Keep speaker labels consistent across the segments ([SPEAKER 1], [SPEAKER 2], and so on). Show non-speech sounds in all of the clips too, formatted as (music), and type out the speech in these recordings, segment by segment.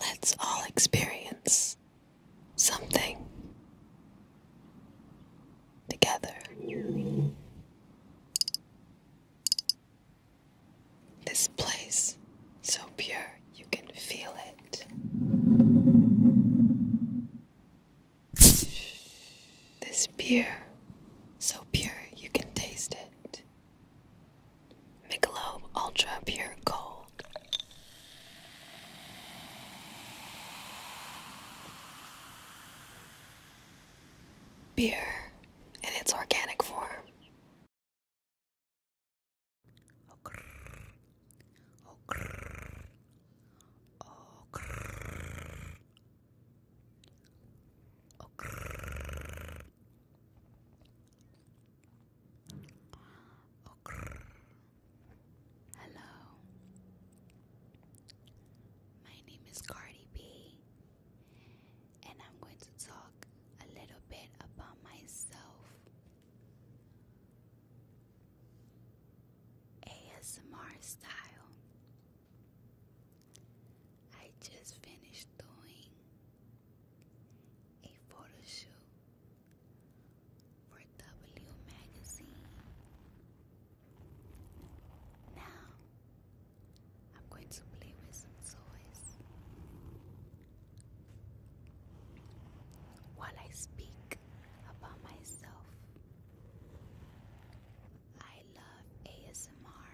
[SPEAKER 1] Let's all experience something together. This place, so pure you can feel it. This beer, so pure you can taste it. Michelob Ultra Pure Gold
[SPEAKER 2] Beer in its organic form.
[SPEAKER 3] Oh, Hello. My name is Cardi B, and I'm going to talk a little bit about myself. ASMR style. I just finished doing a photo shoot for W Magazine. Now, I'm going to play with some toys. While I speak about myself, I love ASMR.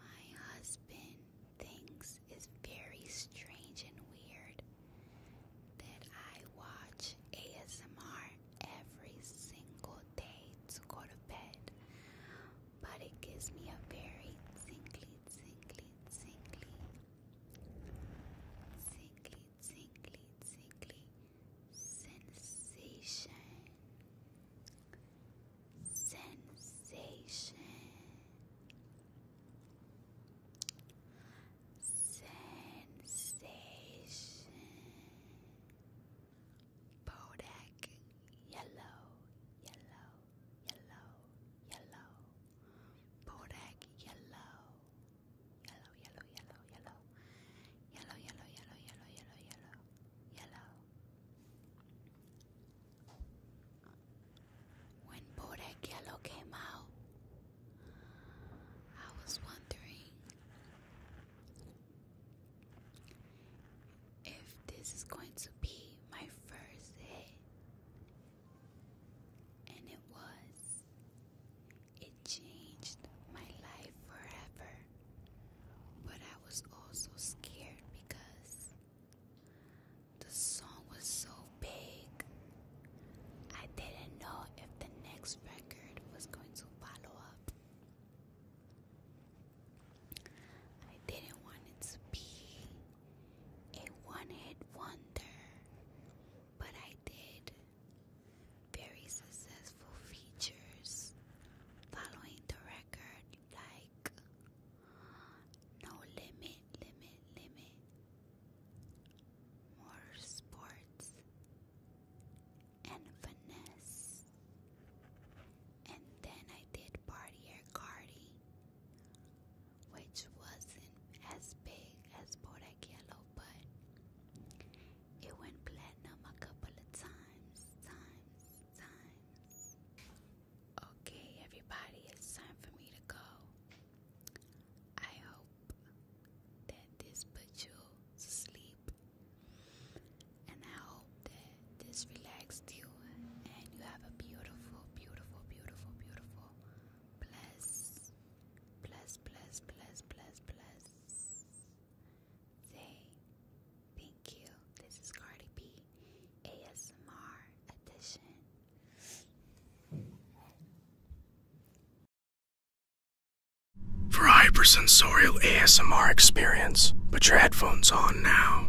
[SPEAKER 3] My husband thinks it's very strange and weird that I watch ASMR every single day to go to bed, but it gives me a very tingly, tingly, tingly, tingly, tingly, tingly sensation, sensation, sensation, Bodak yellow, yellow, yellow, yellow, Bodak yellow yellow, yellow, yellow, yellow, yellow, yellow, yellow, yellow, yellow, yellow, yellow. When Bodak Yellow came out, I was wondering if this is going to be my first hit. And it was. It changed my life forever. But I was also scared because the song was so big. I didn't know if the next record was going to follow up. I didn't want it to be a one hit wonder, but I did very successful features following the record like No Limit, Limit, Limit, More Sports, and Finesse. And then I did Party Air which wasn't as big as Bodak but it went platinum a couple of times, times, times. Okay, everybody, it's time for me to go. I hope that this put you to sleep, and I hope that this relaxed you and you have a beautiful, beautiful, beautiful, beautiful, bless, bless, bless, bless, bless, bless. Say thank you. This is Cardi B ASMR edition.
[SPEAKER 2] For hypersensorial
[SPEAKER 4] ASMR experience, put your headphones on now.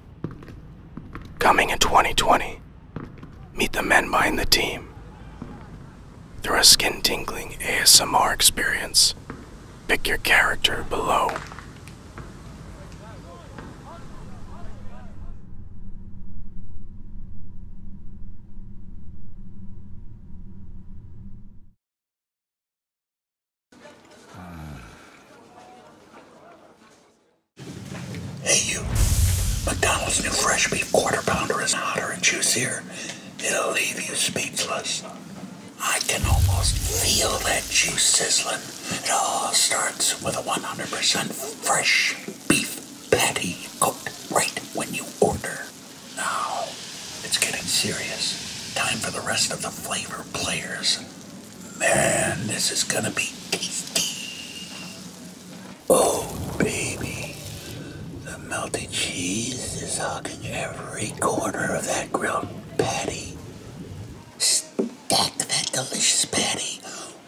[SPEAKER 5] Coming in 2020, meet the men behind the team. Through a skin tingling ASMR experience, pick your character below.
[SPEAKER 6] Hey you, McDonald's new fresh beef quarter pounder is hotter and juicier. It'll leave you speechless. I can almost feel that juice sizzling. It all starts with a 100% fresh beef patty cooked right when you order. Now, it's getting serious. Time for the rest of the flavor players. Man, this is gonna be tasty. Oh, baby. The melted cheese is hugging every corner of that grilled patty. Stack that delicious patty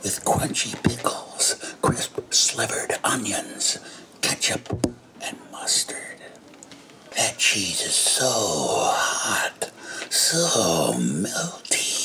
[SPEAKER 6] with crunchy pickles, crisp slivered onions, ketchup, and mustard. That cheese is so hot
[SPEAKER 7] so melty.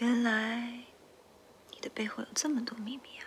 [SPEAKER 8] 原来，你的背后有这么多秘密啊！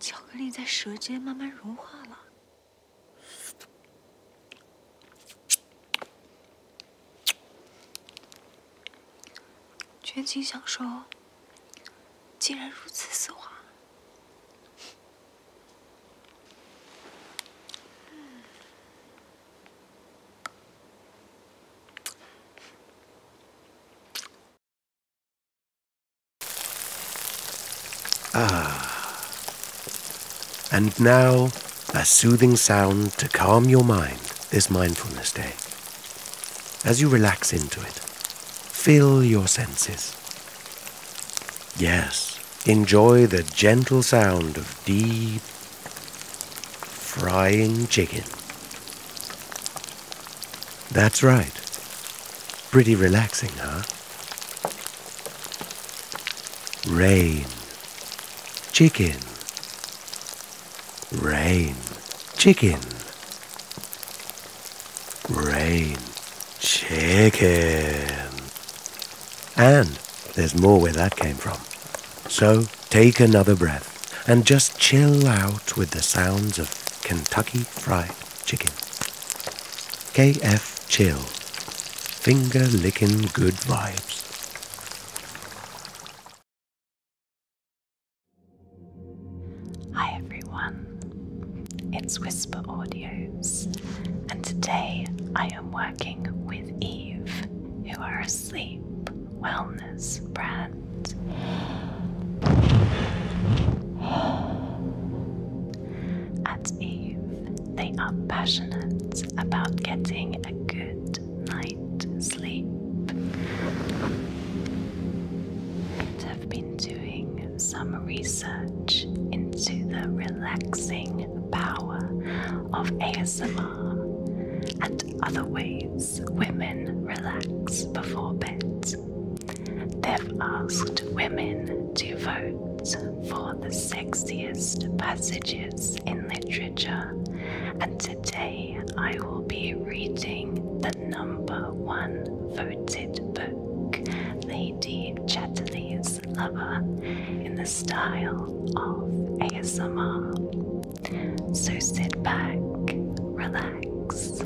[SPEAKER 8] 巧克力在舌尖慢慢融化了，
[SPEAKER 9] 全情享受，竟然如此丝滑。
[SPEAKER 7] Ah. And now, a soothing
[SPEAKER 6] sound to calm your mind this mindfulness day. As you relax into it, fill your senses. Yes, enjoy the gentle sound of deep frying chicken. That's right. Pretty relaxing, huh? Rain. Chicken. Rain. Chicken. Rain. Chicken. And there's more where that came from. So take another breath and just chill out with the sounds of Kentucky Fried Chicken. KF Chill. Finger licking good
[SPEAKER 4] vibes.
[SPEAKER 8] Hi everyone, it's Whisper Audios, and today I am working with Eve, who are asleep wellness brand. (gasps) At Eve, they are passionate about getting a good night's sleep. And have been doing some research into the relaxing power of ASMR and other ways women relax before bed. They've asked women to vote for the sexiest passages in literature, and today I will be reading the number one voted book, Lady Chatterley's Lover, in the style of ASMR. So sit back, relax.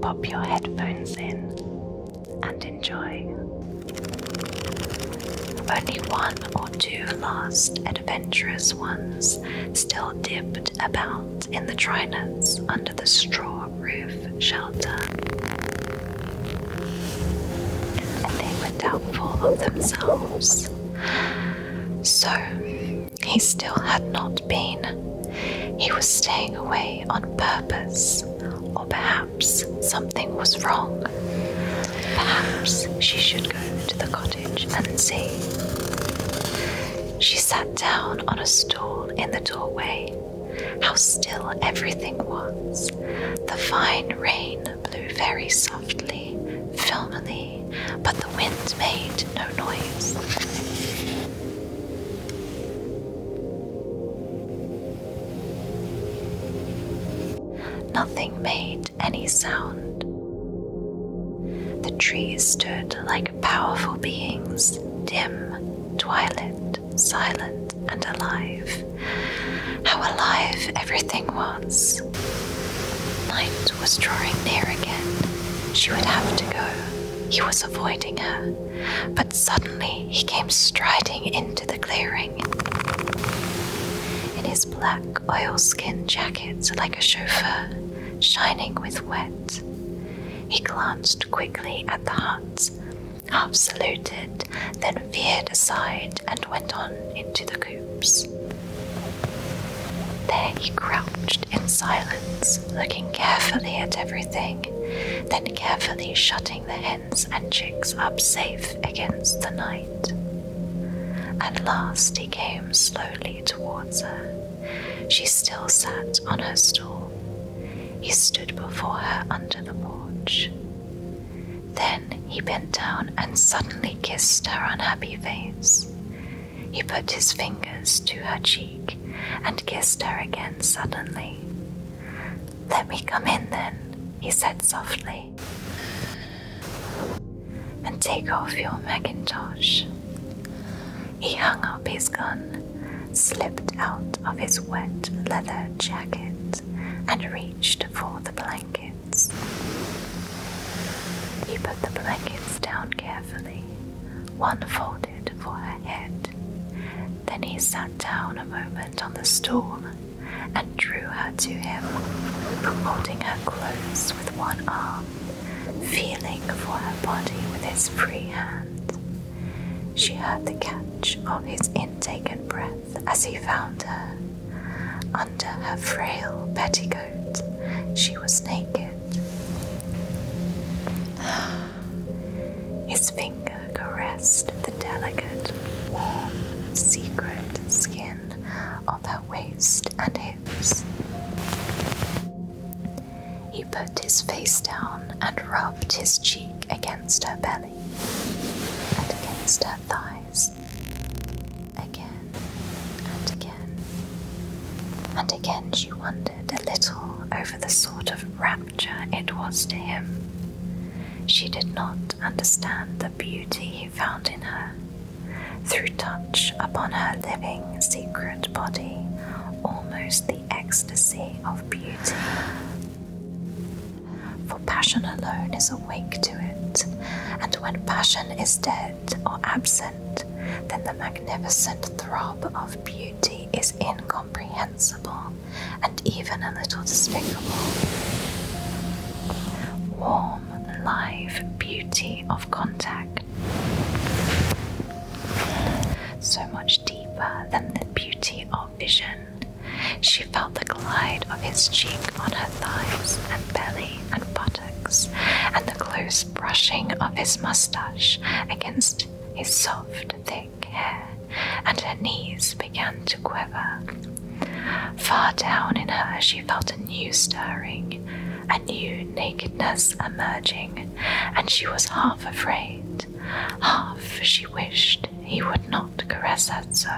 [SPEAKER 8] Pop your headphones in and enjoy. Only one or two last adventurous ones still dipped about in the trinuts under the straw roof shelter. And they were doubtful of themselves. So, he still had not been. He was staying away on purpose, or perhaps something was wrong. Perhaps she should go to the cottage and see. She sat down on a stool in the doorway. How still everything was. The fine rain blew very softly, filmily, but the wind made no noise. Nothing made any sound. The trees stood like powerful beings, dim, twilit, silent, and alive. How alive everything was! Night was drawing near again. She would have to go. He was avoiding her but suddenly he came striding into the clearing. In his black oilskin jacket, like a chauffeur, shining with wet, he glanced quickly at the huts, half saluted, then veered aside and went on into the coops. There he crouched in silence, looking carefully at everything, then carefully shutting the hens and chicks up safe against the night. At last he came slowly towards her. She still sat on her stool. He stood before her under the porch. Then he bent down and suddenly kissed her unhappy face. He put his fingers to her cheek and kissed her again suddenly. Let me come in then, he said softly, and take off your mackintosh. He hung up his gun, slipped out of his wet leather jacket, and reached for the blankets. He put the blankets down carefully, one folded for her head. Then he sat down a moment on the stool and drew her to him, holding her close with one arm, feeling for her body with his free hand. She heard the catch of his intake and breath as he found her. Under her frail petticoat, she was naked. His finger caressed the delicate, warm, secret skin of her waist and hips. He put his face down and rubbed his cheek against her belly and against her thighs. Again and again. And again she wondered a little over the sort of rapture it was to him. She did not understand the beauty he found in her. Through touch upon her living, secret body, almost the ecstasy of beauty. For passion alone is awake to it, and when passion is dead or absent, then the magnificent throb of beauty is incomprehensible and even a little despicable. Warm, live beauty of contact. So much deeper than the beauty of vision. She felt the glide of his cheek on her thighs and belly and buttocks, and the close brushing of his mustache against his soft, thick and her knees began to quiver. Far down in her, she felt a new stirring, a new nakedness emerging, and she was half afraid, half she wished he would not caress her so.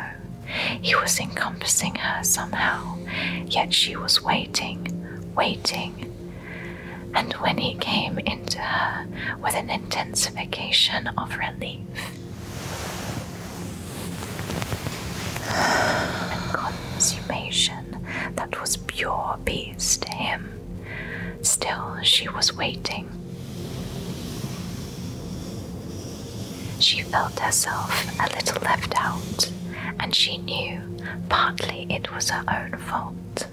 [SPEAKER 8] He was encompassing her somehow, yet she was waiting, waiting, and when he came into her with an intensification of relief and consummation that was pure peace to him, still she was waiting. She felt herself a little left out, and she knew partly it was her own fault.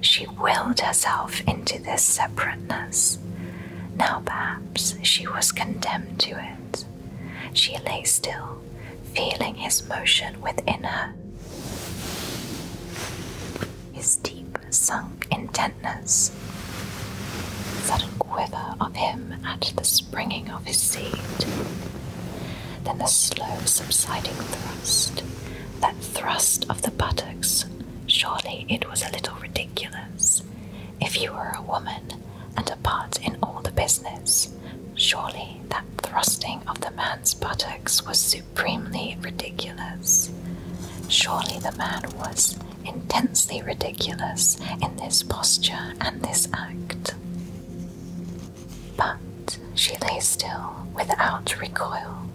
[SPEAKER 8] She willed herself into this separateness. Now perhaps she was condemned to it. She lay still, feeling his motion within her. His deep sunk intentness, sudden quiver of him at the springing of his seed, then the slow subsiding thrust, thrust of the buttocks, surely it was a little ridiculous. If you were a woman and a part in all the business, surely that thrusting of the man's buttocks was supremely ridiculous. Surely the man was intensely ridiculous in this posture and this act. But she lay still without recoil,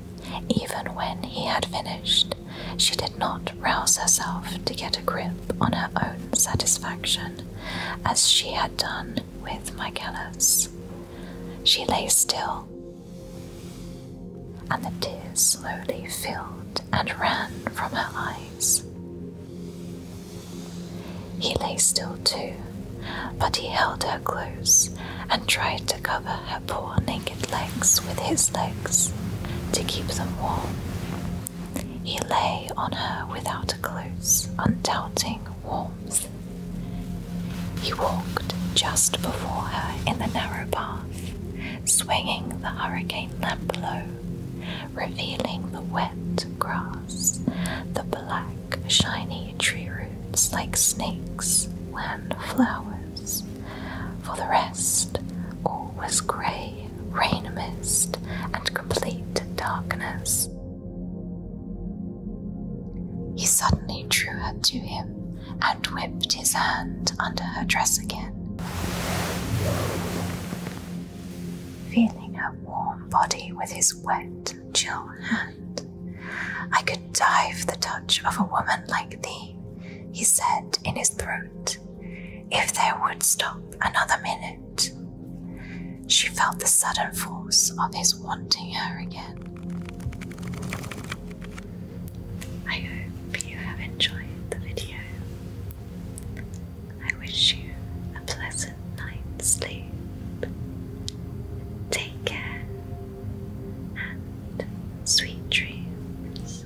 [SPEAKER 8] even when he had finished, she did not rouse herself to get a grip on her own satisfaction, as she had done with Michaelis. She lay still, and the tears slowly filled and ran from her eyes. He lay still too, but he held her her close and tried to cover her poor naked legs with his legs to keep them warm. He lay on her without a close, undoubting warmth. He walked just before her in the narrow path, swinging the hurricane lamp low, revealing the wet grass, the black, shiny tree roots like snakes when flowers. For the rest, all was grey, rain mist, and complete darkness. He suddenly drew her to him and whipped his hand under her dress again. Feeling her warm body with his wet, chill hand, I could die for the touch of a woman like thee, he said in his throat, if there would stop another minute. She felt the sudden force of his wanting her again. I hope you have enjoyed the video. I wish you a pleasant night's sleep. Take care
[SPEAKER 9] and sweet dreams.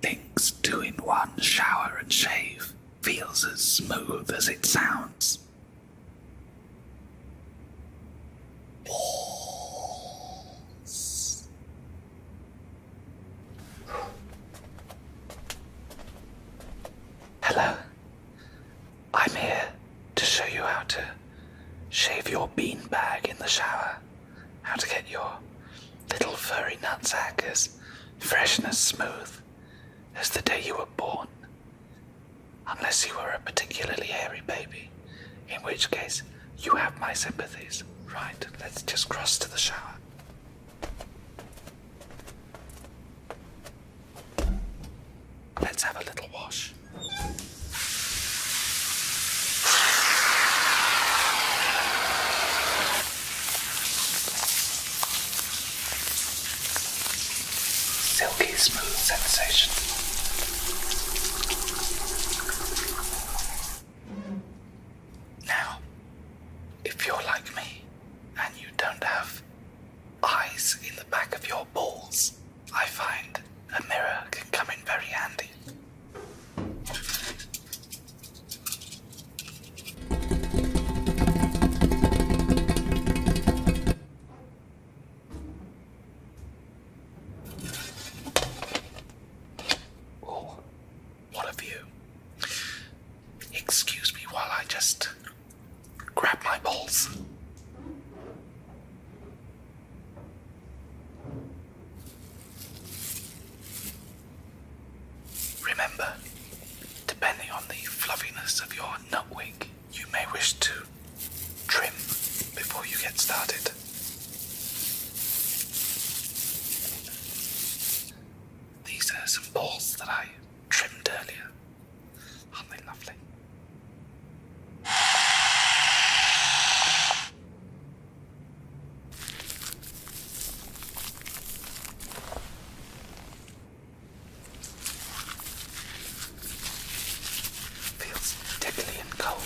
[SPEAKER 2] Thinks two in one shower
[SPEAKER 10] and shave feels as smooth as it sounds.
[SPEAKER 7] Balls.
[SPEAKER 10] Hello. I'm here to show you how to shave your bean bag in the shower, how to get your little furry nutsack as fresh and as smooth as the day you were born. Unless you were a particularly hairy baby, in which case you have my sympathies. Right, let's just cross to the shower. Let's have a little wash. Silky smooth sensation. Now, if you're like me and you don't have eyes in the back of your balls, I find a mirror can come in very handy. Oh, what of you? Excuse me while I just grab my balls. Remember, depending on the fluffiness of your nutwig, you may wish to trim before you get started. These are some balls that I trimmed earlier. are lovely? Feels tickly and cold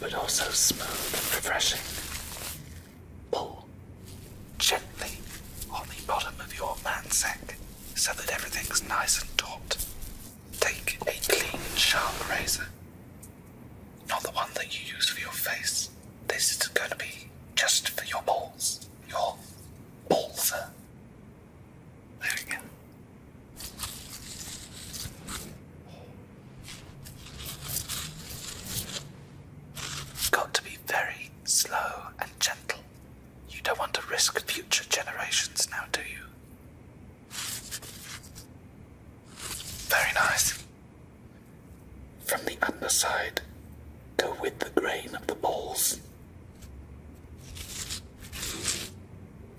[SPEAKER 10] but also smooth and refreshing. Pull gently on the bottom of your mansack so that everything's nice and taut. Take a clean, sharp razor, not the one that you use for your face. This is going to be just for your balls, your balls. There we go. Got to be very slow and gentle. You don't want to risk future generations now, do you? Very nice. From the underside, go with the grain of the balls.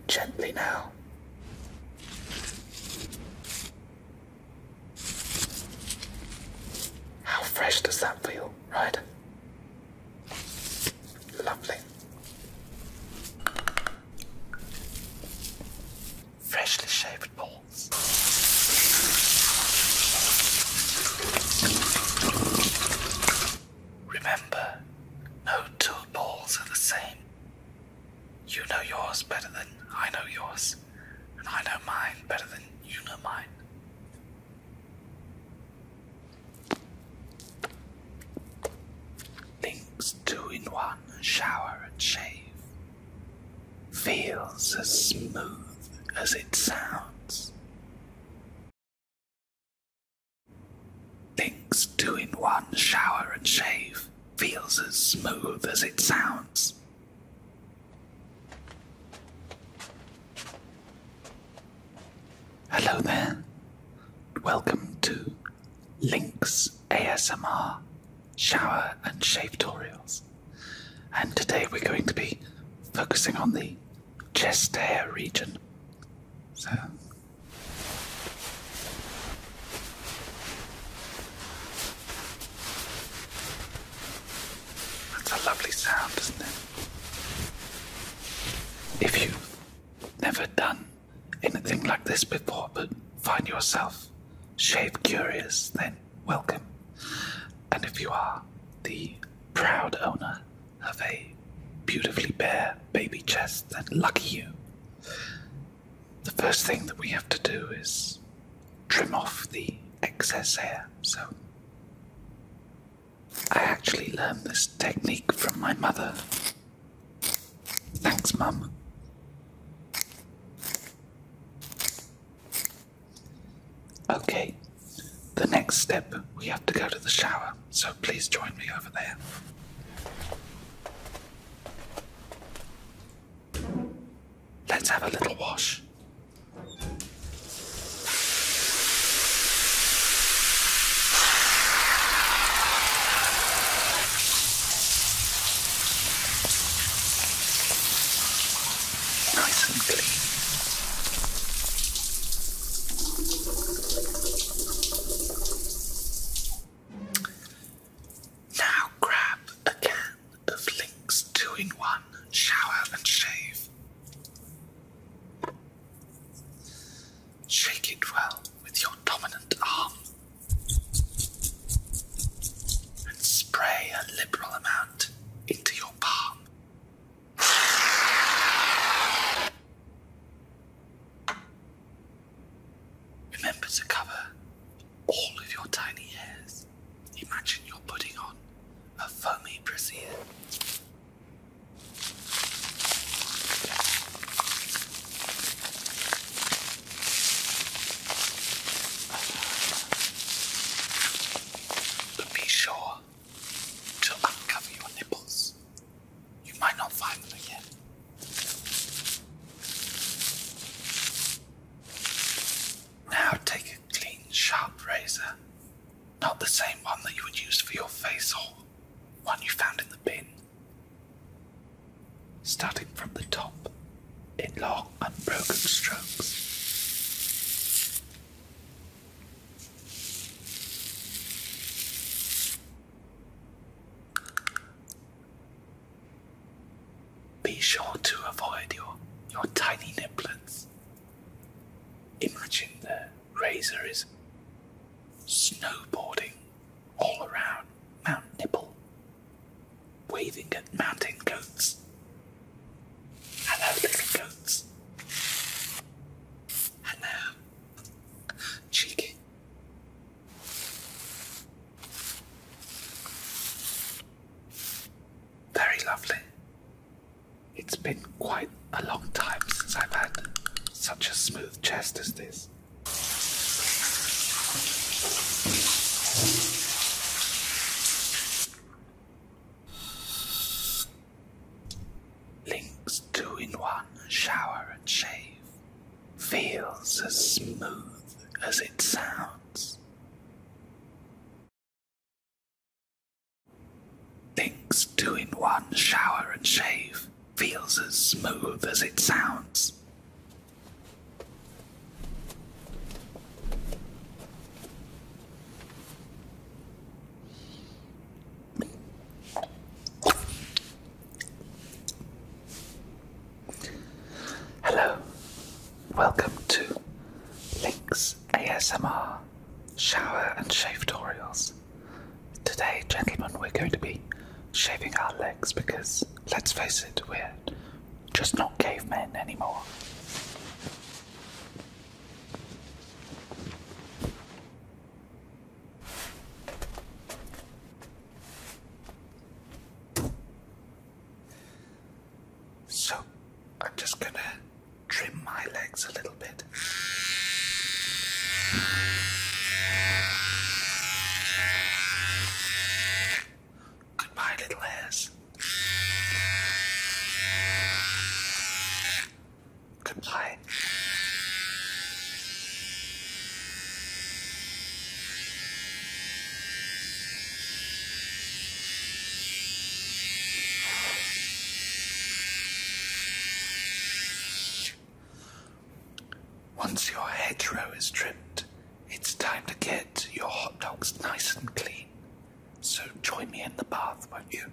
[SPEAKER 10] Gently now. How fresh does that feel, right? Lovely. Freshly shaved balls. Remember, no two balls are the same. You know yours better than I know yours, and I know mine better than you know mine. Things two in one shower and shave.
[SPEAKER 2] Feels as smooth as it sounds. Things two in one shower and
[SPEAKER 10] shave feels as smooth as it sounds. Hello there. Welcome to Link's ASMR Shower and Shave Tutorials. And today we're going to be focusing on the chest hair region. So that's a lovely sound, isn't it? If you've never done anything like this before but find yourself shave curious, then welcome. And if you are the proud owner of a beautifully bare baby chest, then lucky you the first thing that we have to do is trim off the excess hair. So, I actually learned this technique from my mother. Thanks, Mum. Okay, the next step we have to go to the shower, so please join me over there. Let's have a little wash. Nice and clean. Now grab a can of Link's two-in-one shower and shave. Shake it well with your dominant arm and spray a liberal amount into your palm. Remember to cover all of your tiny hairs. Imagine you're putting on a foamy brassiere. But be sure to uncover your nipples you might not find them again. Now take a clean, sharp razor, not the same one that you would use for your face or one you found in the bin. Starting from the top in long, unbroken strokes. Be sure to avoid your, your tiny nipplets. Imagine the razor is snowboarding all around Mount Nipple, waving at mountain goats.
[SPEAKER 2] Hello, little goats. Hello, cheeky.
[SPEAKER 10] Very lovely. It's been quite a long time since I've had such a smooth chest as this. Links two in
[SPEAKER 2] one shower and shave feels as smooth as it sounds. Things two in one shower and shave feels as smooth
[SPEAKER 10] as it sounds. Hello, welcome to Link's ASMR shower and shave tutorials. Today, gentlemen, we're going to be shaving our legs because, let's face it, we're just not cavemen anymore. So I'm just going to trim my legs a little bit. Goodbye, little hairs. Goodbye. Once your hedgerow is trimmed, it's time to get your hot dogs nice and clean. So join me in the bath, won't you?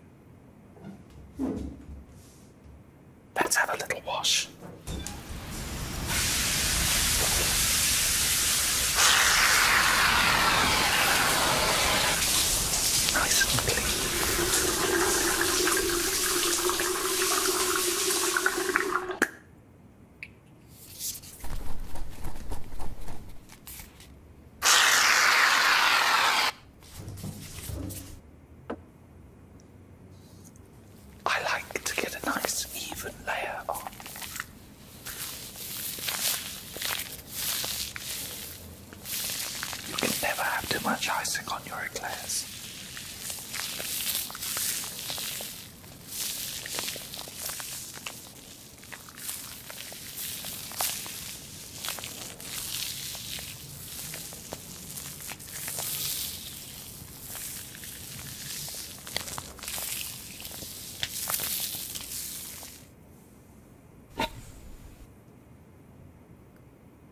[SPEAKER 10] Let's have a little wash. I like to get a nice even layer on. You can never have too much icing on your eclairs.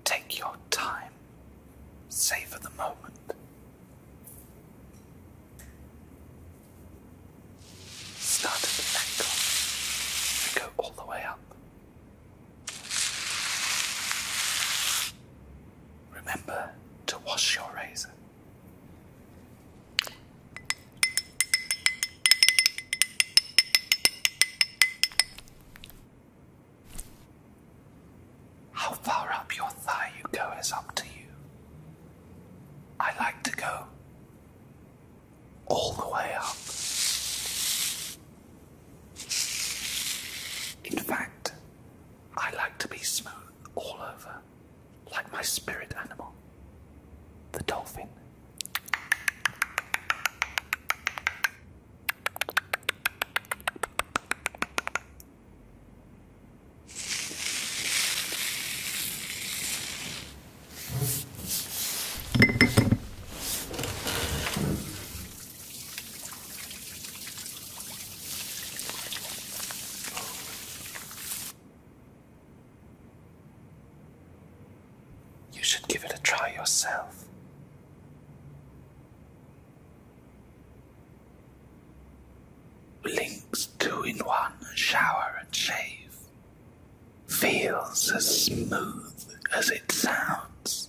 [SPEAKER 10] Take your time, savor the moment. Start at the ankle and go all the way up. Remember to wash your razor. How far up your thigh you go is up to you. I like to go all the way up. In fact, I like to be smooth all over, like my spirit animal, the dolphin. You should give it a try yourself. Links two in one shower and shave. Feels as smooth as it sounds.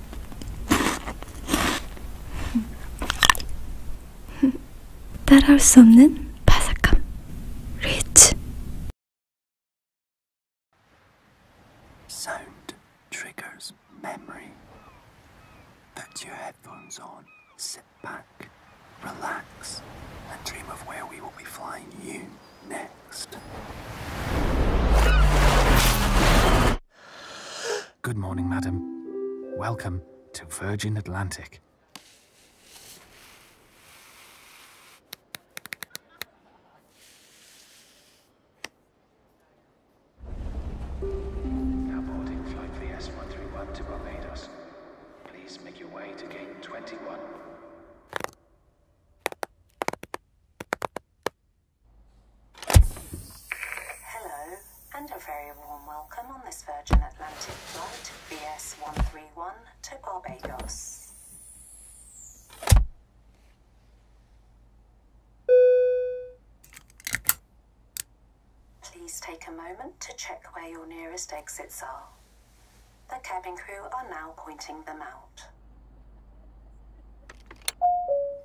[SPEAKER 9] 따라올 수 없는 바삭함.
[SPEAKER 2] Sound triggers memory. Put your headphones on, sit back, relax, and dream of where we will be flying you next.
[SPEAKER 10] Good morning, madam. Welcome to Virgin Atlantic. Now boarding flight VS131 to Barbados. Please make your way to gate 21.
[SPEAKER 1] Hello, and a very warm welcome on this Virgin Atlantic flight BS
[SPEAKER 9] 131 to Barbados.
[SPEAKER 11] Please take a moment to check where your nearest exits are. The cabin crew are
[SPEAKER 9] now pointing them out.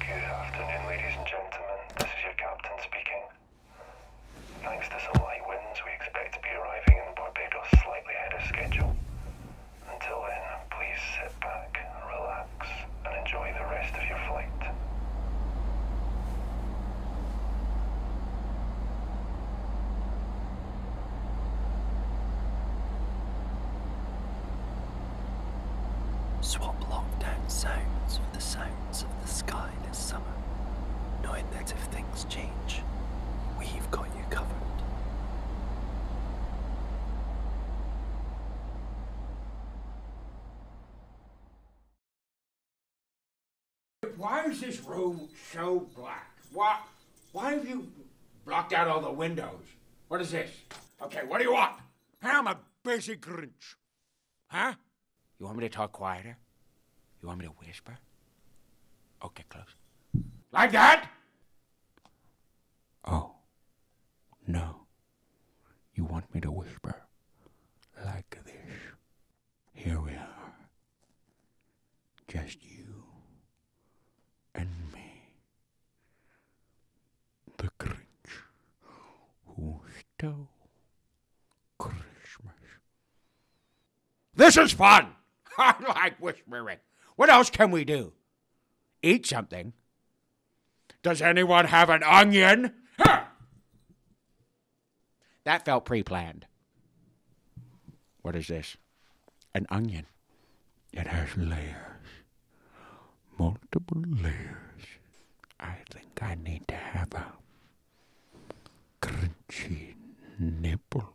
[SPEAKER 10] Good afternoon, ladies and gentlemen. This is your captain speaking. Thanks to some light winds, we expect to be arriving in Barbados slightly ahead of schedule. Until then, please sit back, relax, and enjoy the rest of your flight. Swap lockdown
[SPEAKER 12] sounds for the sounds of the sky summer, knowing that if things change, we've got
[SPEAKER 4] why is this room so black? Why, why have you blocked out all the windows? What is this? Okay, what do you want? I'm a busy Grinch. Huh?
[SPEAKER 10] You want me to talk quieter? You want me to
[SPEAKER 6] whisper? Okay, close.
[SPEAKER 5] Like that? Oh.
[SPEAKER 6] No. You want me to whisper like this. Here we are. Just you and me. The Grinch
[SPEAKER 4] who stole Christmas this is fun. (laughs) I like whispering. What else can we do? Eat something. Does anyone have an onion? That felt pre planned.
[SPEAKER 5] What is this? An onion. It has layers, multiple layers. I think I need to have a crunchy nipple.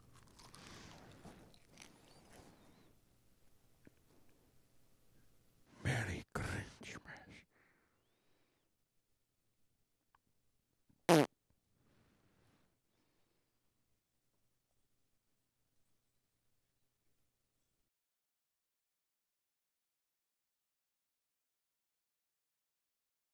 [SPEAKER 7] Merry Christmas.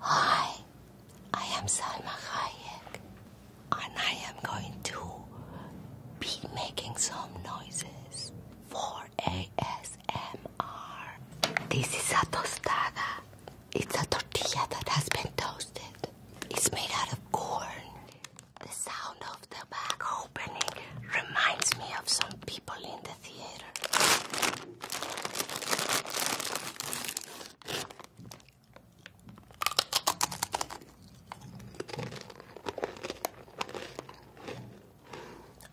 [SPEAKER 2] Hi, I am Salma Hayek, and I am going to
[SPEAKER 3] be making some noises for ASMR. This is a tostada. It's a tortilla that has been toasted. It's made out of corn. The sound of the bag opening reminds me of some people in the theater.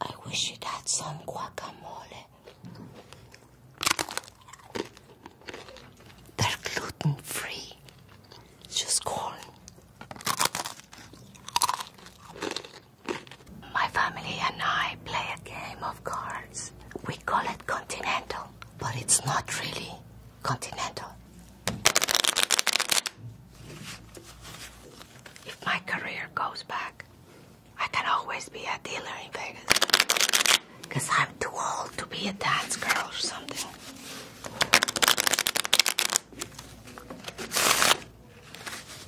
[SPEAKER 3] I wish it had some guacamole. They're gluten free, just corn. My family and I play a game of cards. We call it continental, but it's not really continental. If my career goes back, I can always be a dealer in Vegas. Because I'm too old to be a dance girl or something.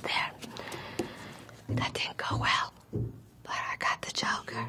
[SPEAKER 2] There. That didn't go well. But I got the Joker.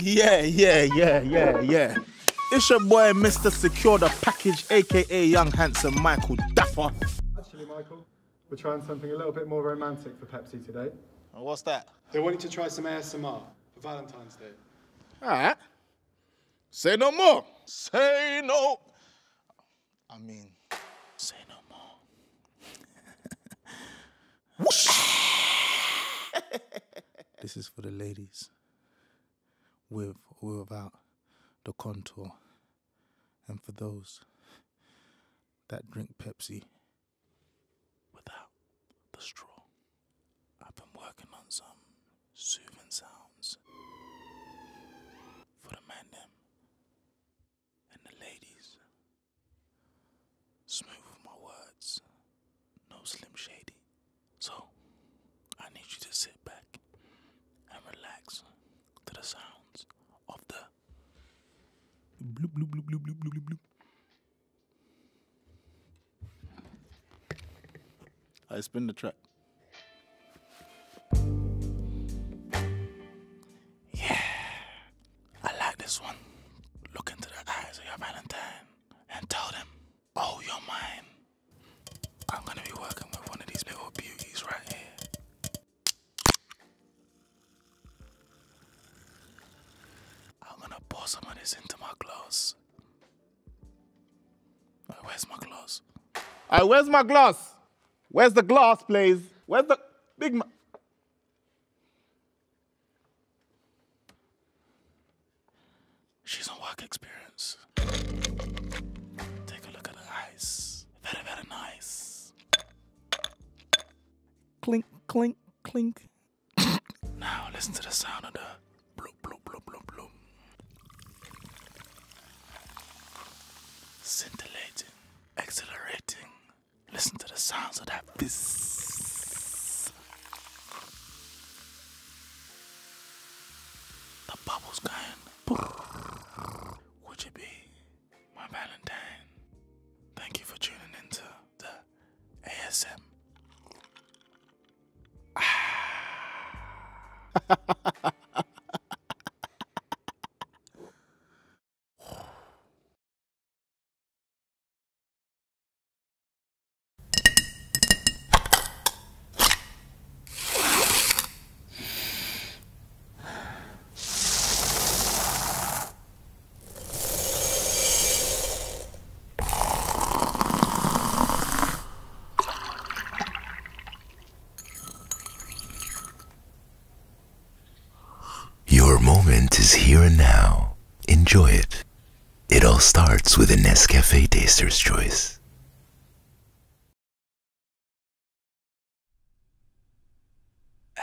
[SPEAKER 5] Yeah, yeah, yeah, yeah, yeah. It's your boy, Mr. Secure the Package, aka Young Handsome Michael Dapper.
[SPEAKER 13] Actually, Michael. We're trying something a little bit more romantic for Pepsi today. what's that?
[SPEAKER 5] They are wanting to try some ASMR for Valentine's Day. All right. Say no more. Say no. I mean, say no more. (laughs) (laughs) this is for the ladies with or without the contour. And for those that drink Pepsi without the straw. I've been working on some soothing sounds for the men them and the ladies. Smooth with my words, no slim shady. So I need you to sit back and relax to the sounds of the
[SPEAKER 10] Bloop, bloop, bloop, bloop, bloop, bloop, bloop.
[SPEAKER 5] I spin the track. Yeah, I like this one. Look into the eyes of your Valentine and tell them, oh, you're mine. I'm gonna be working with one of these little beauties right here. I'm gonna pour some of this into my gloves. where's my glass? Uh, where's my glass? Where's the glass, please? Where's the big man? She's on work experience. Take a look at her eyes. Very, very nice. Clink, clink clink. now listen to the sound of the bloop bloop bloop bloop bloop. Scintillating, exhilarating. Listen to the sounds of that fizz. The bubbles going. Would you be my Valentine? Thank you for tuning into the ASM. (sighs) (sighs) (sighs)
[SPEAKER 6] Your moment is here and now. Enjoy it.
[SPEAKER 2] It all starts with a Nescafe Taster's Choice.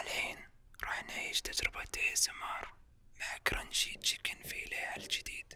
[SPEAKER 2] الحين راح نعيش تجربة ASMR مع كرنشي تشيكن فيليه الجديد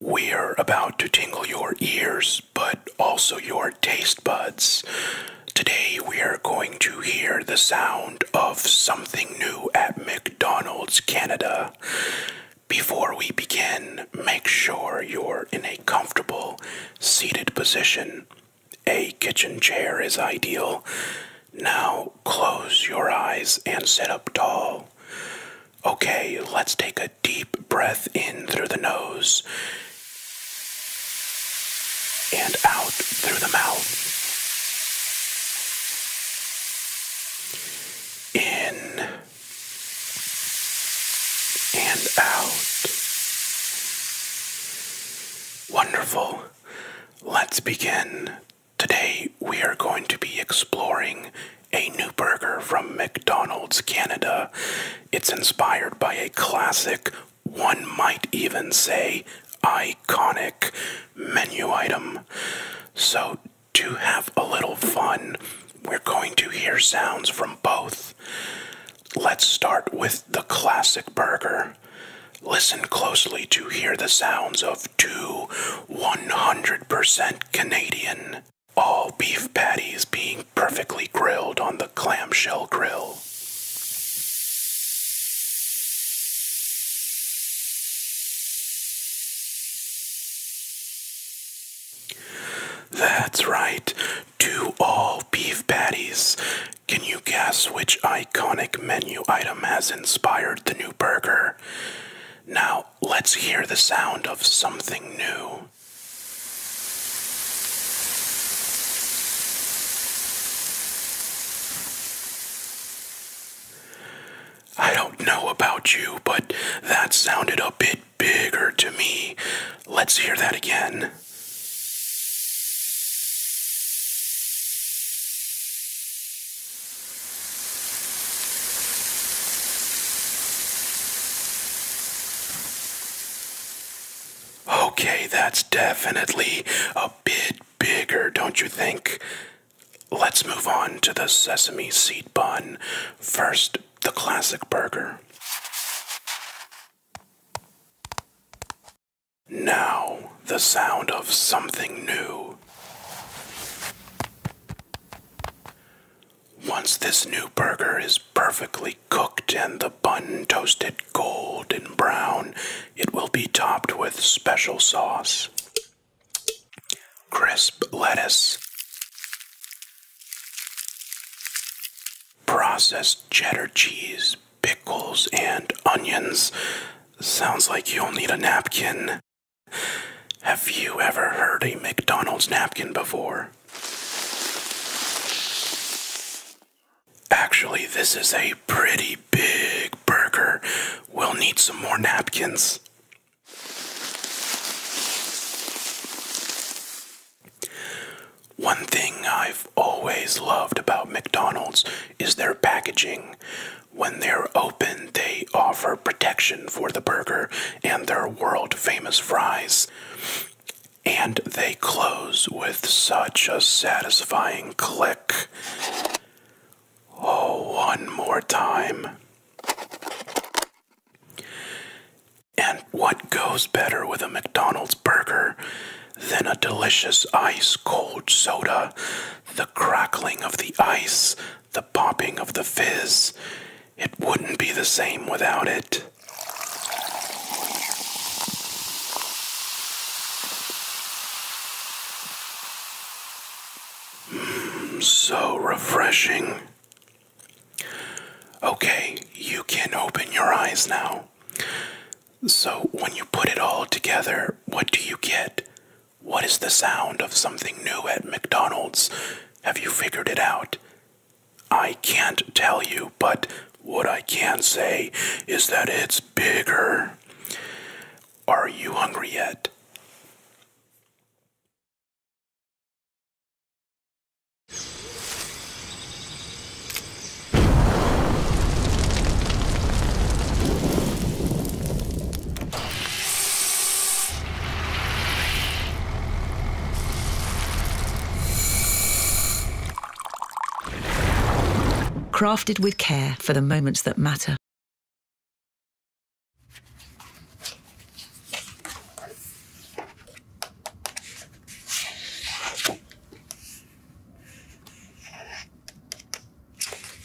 [SPEAKER 4] We're about to tingle your ears, but also your taste buds. Today we are going to hear the sound of something new at McDonald's Canada. Before we begin, make sure you're in a comfortable seated position. A kitchen chair is ideal. Now close your eyes and sit up tall. Okay, let's take a deep breath in through the nose and out through the mouth. In and out. Wonderful. Let's begin Today we are going to be exploring a new burger from McDonald's Canada. It's inspired by a classic, one might even say iconic, menu item. So, to have a little fun, we're going to hear sounds from both. Let's start with the classic burger. Listen closely to hear the sounds of to 100% Canadian. All beef patties being perfectly grilled on the clamshell grill. That's right, two all beef patties. Can you guess which iconic menu item has inspired the new burger? Now let's hear the sound of something new. I don't know about you, but that sounded a bit bigger to me. Let's hear that again. Okay, that's definitely a bit bigger, don't you think? Let's move on to the sesame seed bun. First, the classic burger. Now, the sound of something new. Once this new burger is perfectly cooked and the bun toasted golden brown, it will be topped with special sauce, crisp lettuce, processed cheddar cheese, pickles, and onions. Sounds like you'll need a napkin. Have you ever heard a McDonald's napkin before? Actually, this is a pretty big burger. We'll need some more napkins. One thing I've always loved about McDonald's is their packaging. When they're open, they offer protection for the burger and their world famous fries. And they close with such a satisfying click. Oh, one more time. And what goes better with a McDonald's burger than a delicious ice cold soda? The crackling of the ice, the popping of the fizz. It wouldn't be the same without it. Mm, so refreshing. Okay, you can open your eyes now. So, when you put it all together, what do you get? What is the sound of something new at McDonald's? Have you figured it out? I can't tell you, but what
[SPEAKER 7] I can say is that it's bigger. Are you hungry yet?
[SPEAKER 9] crafted with care for the
[SPEAKER 2] moments that matter.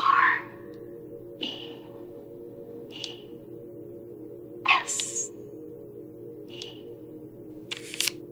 [SPEAKER 2] R E E S E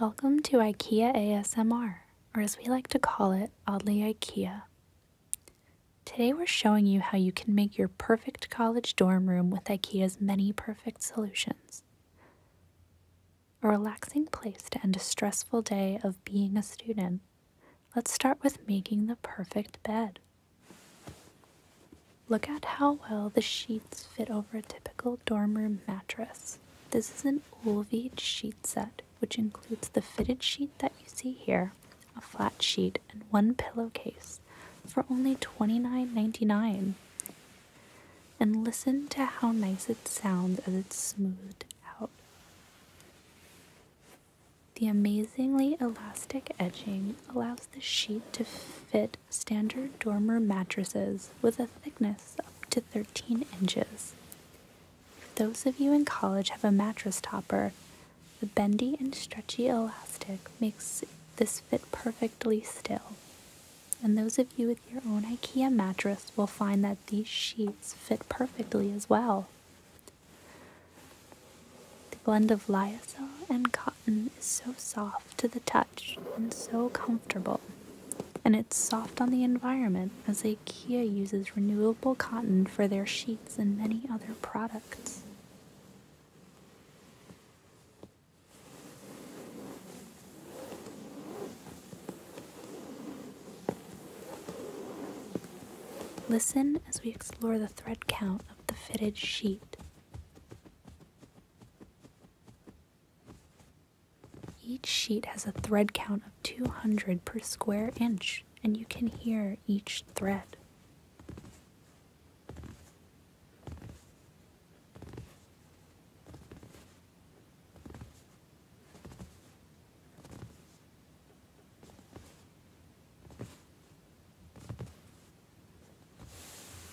[SPEAKER 11] Welcome to IKEA ASMR, or as we like to call it, Oddly IKEA. Today we're showing you how you can make your perfect college dorm room with IKEA's many perfect solutions. A relaxing place to end a stressful day of being a student, Let's start with making the perfect bed. Look at how well the sheets fit over a typical dorm room mattress. This is an Olvid sheet set, which includes the fitted sheet that you see here, a flat sheet, and one pillowcase for only $29.99. And listen to how nice it sounds as it's smoothed out. The amazingly elastic edging allows the sheet to fit standard dormer mattresses with a thickness up to 13 inches. If those of you in college have a mattress topper, the bendy and stretchy elastic makes this fit perfectly still. And those of you with your own IKEA mattress will find that these sheets fit perfectly as well. The blend of lyocell and cotton is so soft to the touch and so comfortable, and it's soft on the environment as IKEA uses renewable cotton for their sheets and many other products. Listen as we explore the thread count the fitted sheet. Each sheet has a thread count of 200 per square inch, and you can hear each thread.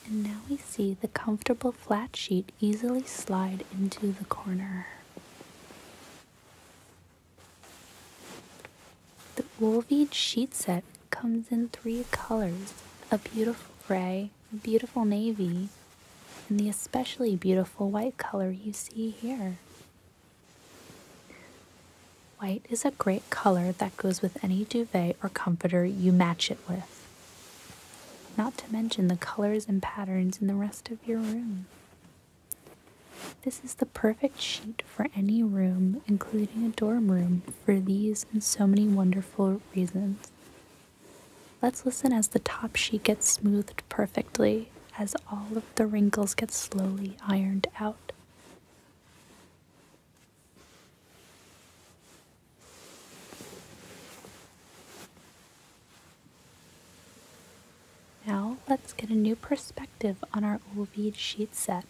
[SPEAKER 11] And now we see the comfortable flat sheet easily slide into the corner. The Wolved sheet set comes in three colors, a beautiful gray, a beautiful navy, and the especially beautiful white color you see here. White is a great color that goes with any duvet or comforter you match it with. Not to mention the colors and patterns in the rest of your room. This is the perfect sheet for any room, including a dorm room, for these and so many wonderful reasons. Let's listen as the top sheet gets smoothed perfectly, as all of the wrinkles get slowly ironed out. Now let's get a new perspective on our Ovid sheet set.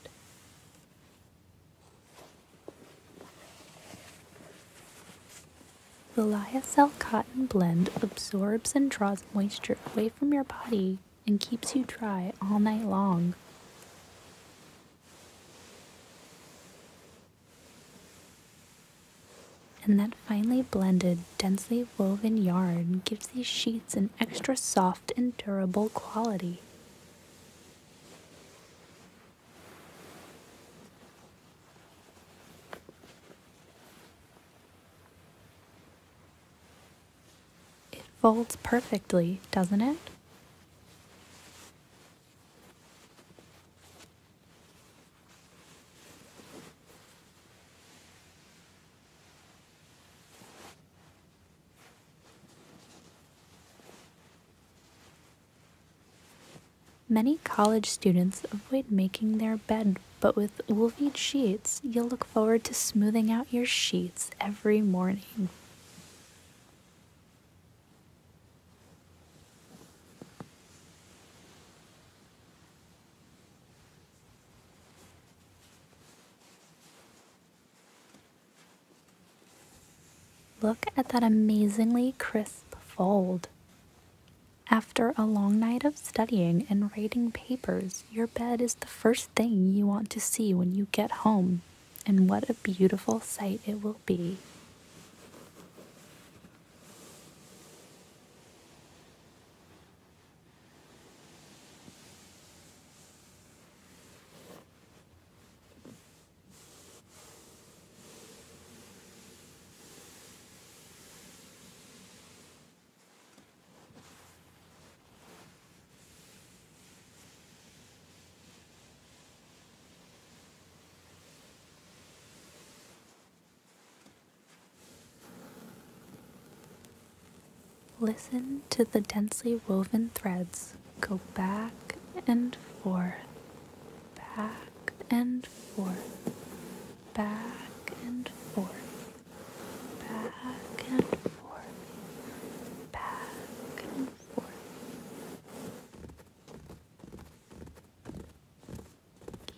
[SPEAKER 11] The Lyocell cotton blend absorbs and draws moisture away from your body and keeps you dry all night long. And that finely blended, densely woven yarn gives these sheets an extra soft and durable quality. It folds perfectly, doesn't it? Many college students avoid making their bed, but with Wolfie sheets, you'll look forward to smoothing out your sheets every morning. Look at that amazingly crisp fold. After a long night of studying and writing papers, your bed is the first thing you want to see when you get home, and what a beautiful sight it will be. Listen to the densely woven threads go back and forth, back and forth, back and forth, back and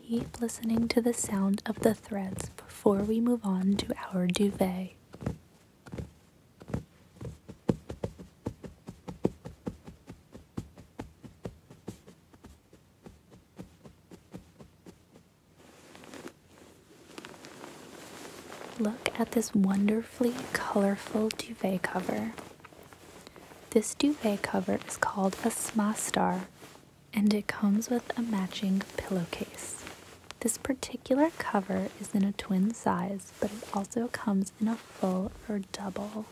[SPEAKER 11] Keep listening to the sound of the threads before we move on to our duvet. Look at this wonderfully colorful duvet cover. This duvet cover is called a smastar and it comes with a matching pillowcase. This particular cover is in a twin size, but it also comes in a full or double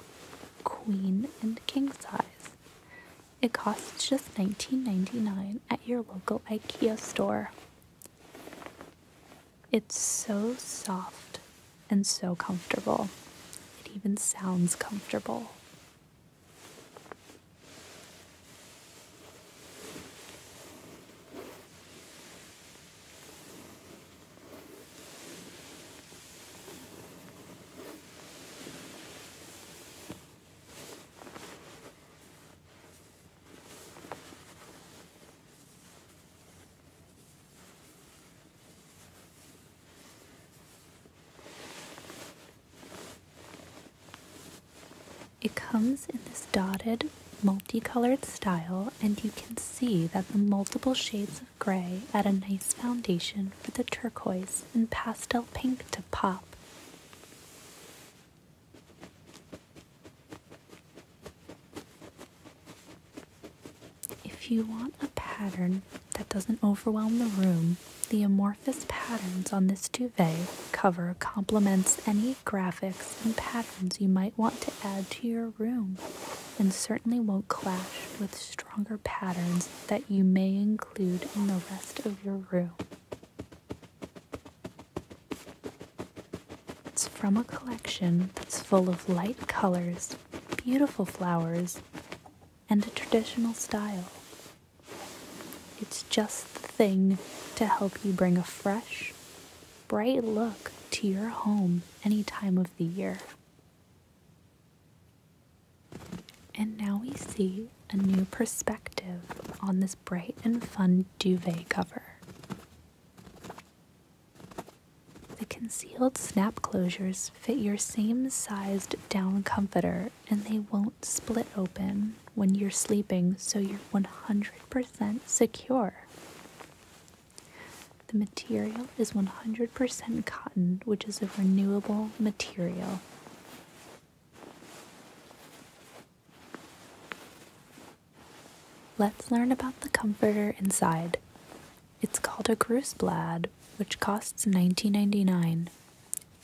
[SPEAKER 11] queen and king size. It costs just $19.99 at your local IKEA store. It's so soft and so comfortable. It even sounds comfortable. It comes in this dotted, multicolored style, and you can see that the multiple shades of gray add a nice foundation for the turquoise and pastel pink to pop. If you want a pattern that doesn't overwhelm the room, the amorphous patterns on this duvet cover complements any graphics and patterns you might want to add to your room and certainly won't clash with stronger patterns that you may include in the rest of your room. It's from a collection that's full of light colors, beautiful flowers, and a traditional style. It's just the thing to help you bring a fresh, bright look to your home any time of the year. And now we see a new perspective on this bright and fun duvet cover. The concealed snap closures fit your same sized down comforter and they won't split open when you're sleeping, so you're 100% secure. The material is 100% cotton, which is a renewable material. Let's learn about the comforter inside. It's called a Gruseblad, which costs $19.99.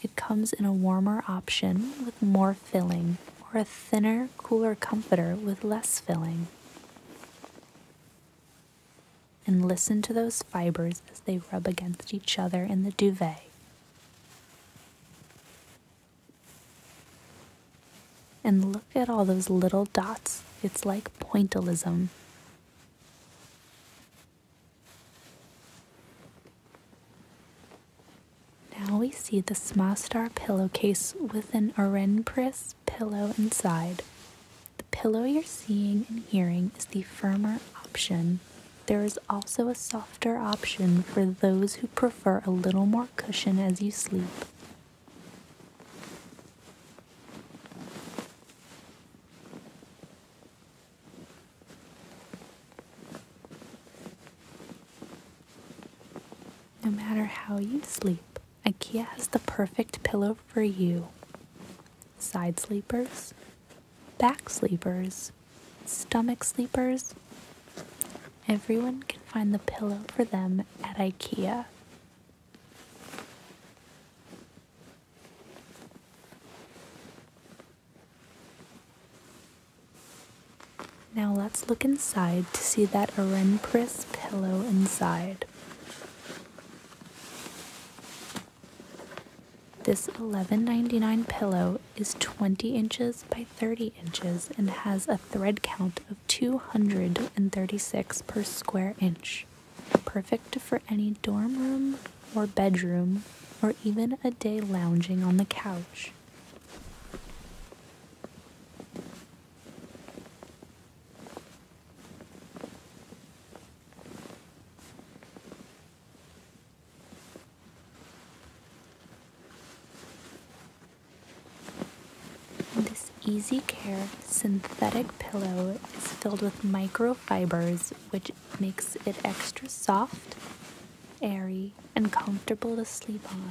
[SPEAKER 11] It comes in a warmer option with more filling, or a thinner, cooler comforter with less filling. And listen to those fibers as they rub against each other in the duvet. And look at all those little dots. It's like pointillism. Now we see the star pillowcase with an Orenpris pillow inside. The pillow you're seeing and hearing is the firmer option. There is also a softer option for those who prefer a little more cushion as you sleep. No matter how you sleep, IKEA has the perfect pillow for you. Side sleepers, back sleepers, stomach sleepers, Everyone can find the pillow for them at IKEA. Now let's look inside to see that Orenpris pillow inside. This $11.99 pillow is 20 inches by 30 inches and has a thread count of. 236 per square inch, perfect for any dorm room or bedroom or even a day lounging on the couch. This Easy Care synthetic pillow is filled with microfibers, which makes it extra soft, airy, and comfortable to sleep on.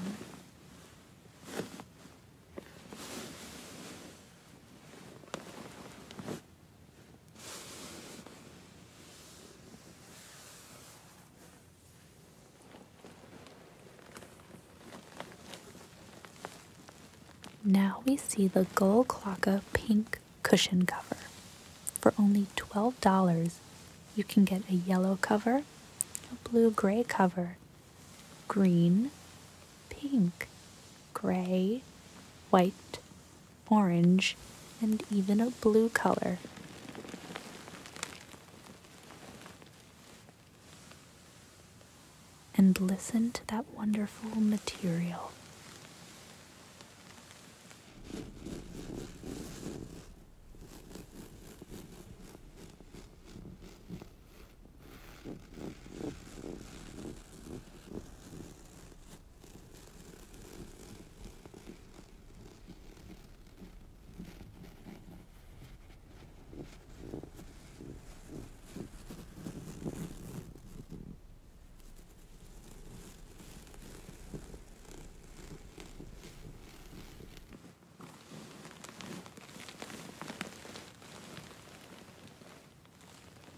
[SPEAKER 11] Now we see the Gull Clocka pink cushion cover. For only $12, you can get a yellow cover, a blue-gray cover, green, pink, gray, white, orange, and even a blue color and listen to that wonderful material.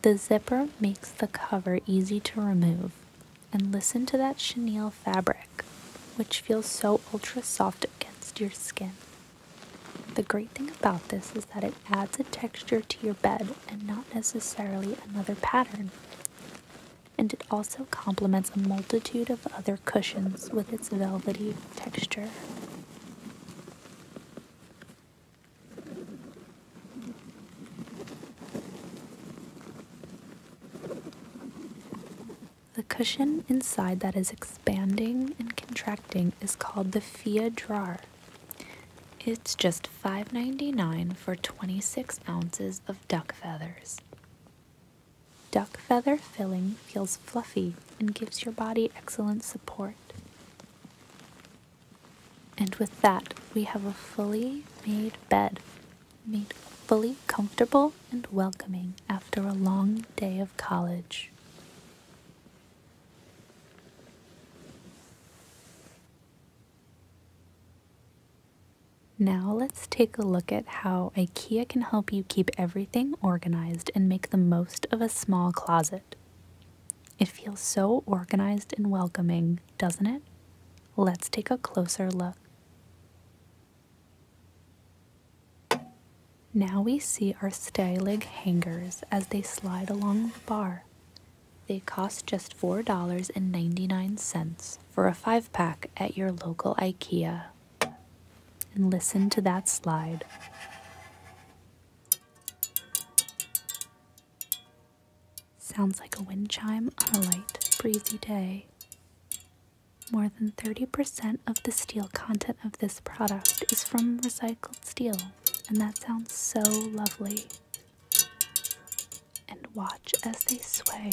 [SPEAKER 11] The zipper makes the cover easy to remove and listen to that chenille fabric, which feels so ultra soft against your skin. The great thing about this is that it adds a texture to your bed and not necessarily another pattern. And it also complements a multitude of other cushions with its velvety texture. The cushion inside that is expanding and contracting is called the Fia Drawer. It's just $5.99 for 26 ounces of duck feathers. Duck feather filling feels fluffy and gives your body excellent support. And with that, we have a fully made bed, made fully comfortable and welcoming after a long day of college. Now let's take a look at how IKEA can help you keep everything organized and make the most of a small closet. It feels so organized and welcoming, doesn't it? Let's take a closer look. Now we see our stag hangers as they slide along the bar. They cost just $4.99 for a five pack at your local IKEA. And listen to that slide. Sounds like a wind chime on a light, breezy day. More than 30% of the steel content of this product is from recycled steel, and that sounds so lovely. And watch as they sway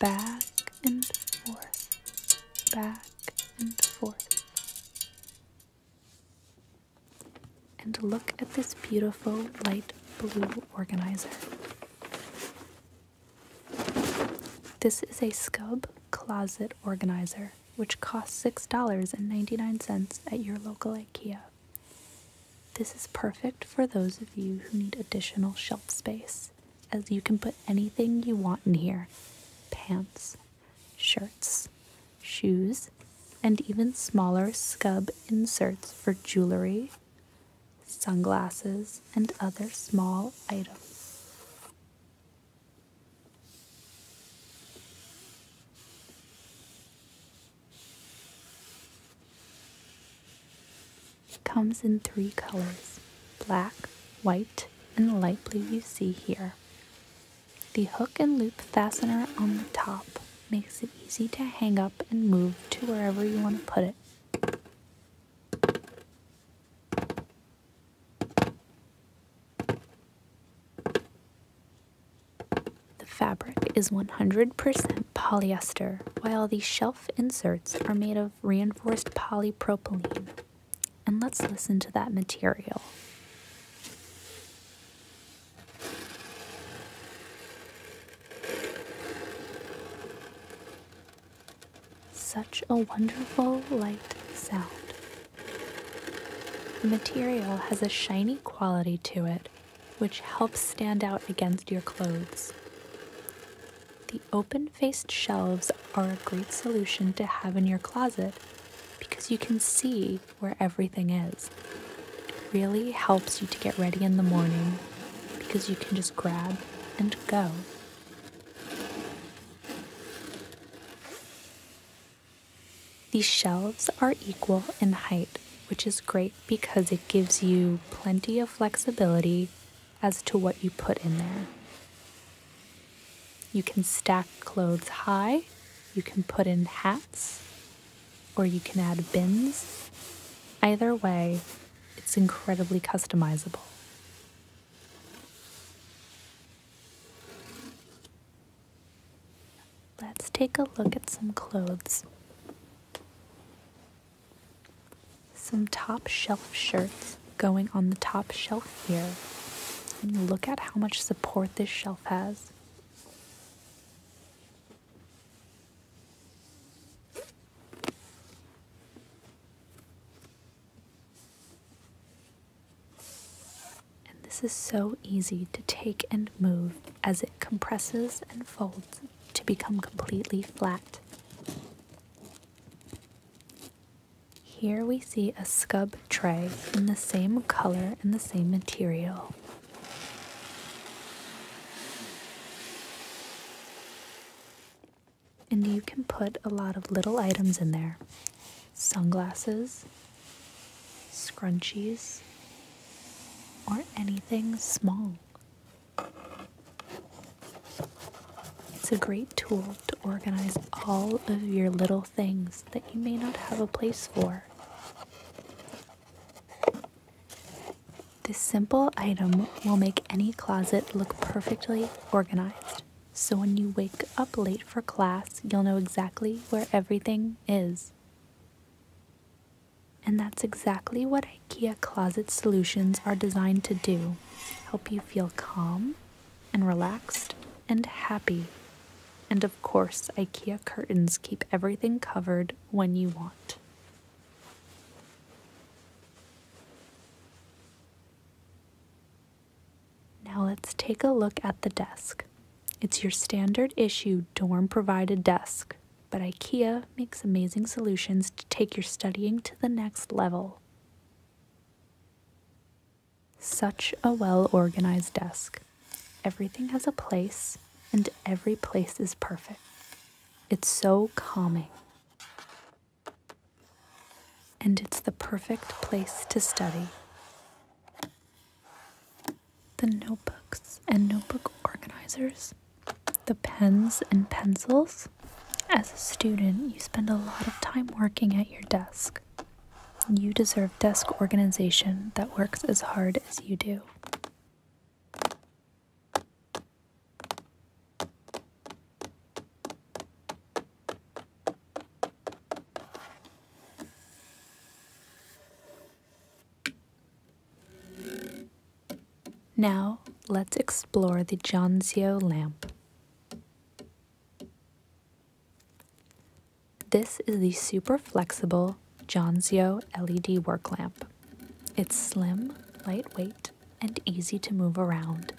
[SPEAKER 11] back and forth, back and forth. And look at this beautiful light blue organizer. This is a scub closet organizer, which costs $6.99 at your local IKEA. This is perfect for those of you who need additional shelf space, as you can put anything you want in here pants, shirts, shoes, and even smaller scub inserts for jewelry, sunglasses, and other small items. It comes in three colors black, white, and light blue you see here. The hook and loop fastener on the top makes it easy to hang up and move to wherever you want to put it. The fabric is 100% polyester, while the shelf inserts are made of reinforced polypropylene. And let's listen to that material. Such a wonderful light sound. The material has a shiny quality to it, which helps stand out against your clothes. The open faced shelves are a great solution to have in your closet because you can see where everything is. It really helps you to get ready in the morning because you can just grab and go. These shelves are equal in height, which is great because it gives you plenty of flexibility as to what you put in there. You can stack clothes high, you can put in hats, or you can add bins. Either way, it's incredibly customizable. Let's take a look at some clothes. Some top shelf shirts going on the top shelf here. And look at how much support this shelf has. And this is so easy to take and move as it compresses and folds to become completely flat. Here we see a scub tray in the same color and the same material and you can put a lot of little items in there sunglasses, scrunchies, or anything small. It's a great tool to organize all of your little things that you may not have a place for. This simple item will make any closet look perfectly organized. So when you wake up late for class, you'll know exactly where everything is. And that's exactly what IKEA Closet Solutions are designed to do help you feel calm and relaxed and happy. And of course, IKEA curtains keep everything covered when you want. Now let's take a look at the desk. It's your standard issue dorm provided desk, but IKEA makes amazing solutions to take your studying to the next level. Such a well organized desk. Everything has a place, and every place is perfect. It's so calming and it's the perfect place to study. The notebooks and notebook organizers, the pens and pencils. As a student, you spend a lot of time working at your desk. You deserve desk organization that works as hard as you do. Now, let's explore the Janzio lamp. This is the super flexible Janzio LED work lamp. It's slim, lightweight, and easy to move around.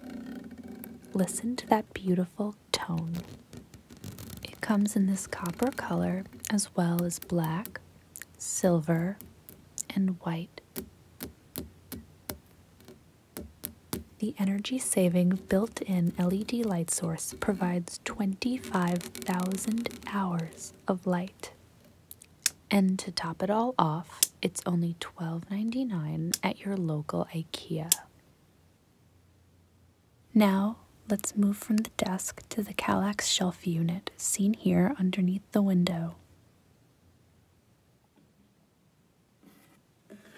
[SPEAKER 11] Listen to that beautiful tone. It comes in this copper color as well as black, silver, and white. The energy saving built in LED light source provides 25,000 hours of light. And to top it all off, it's only twelve ninety-nine at your local IKEA. Now, let's move from the desk to the Kallax shelf unit seen here underneath the window.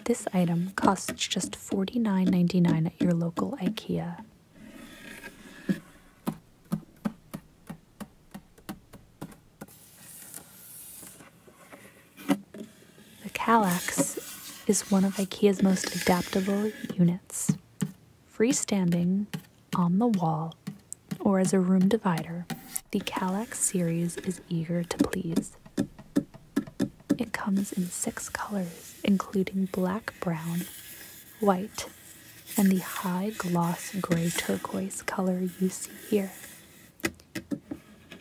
[SPEAKER 11] This item costs just forty nine ninety nine at your local IKEA. The Kallax is one of IKEA's most adaptable units, freestanding on the wall or as a room divider. The Kallax series is eager to please. It comes in six colors, including black, brown, white, and the high gloss gray turquoise color you see here.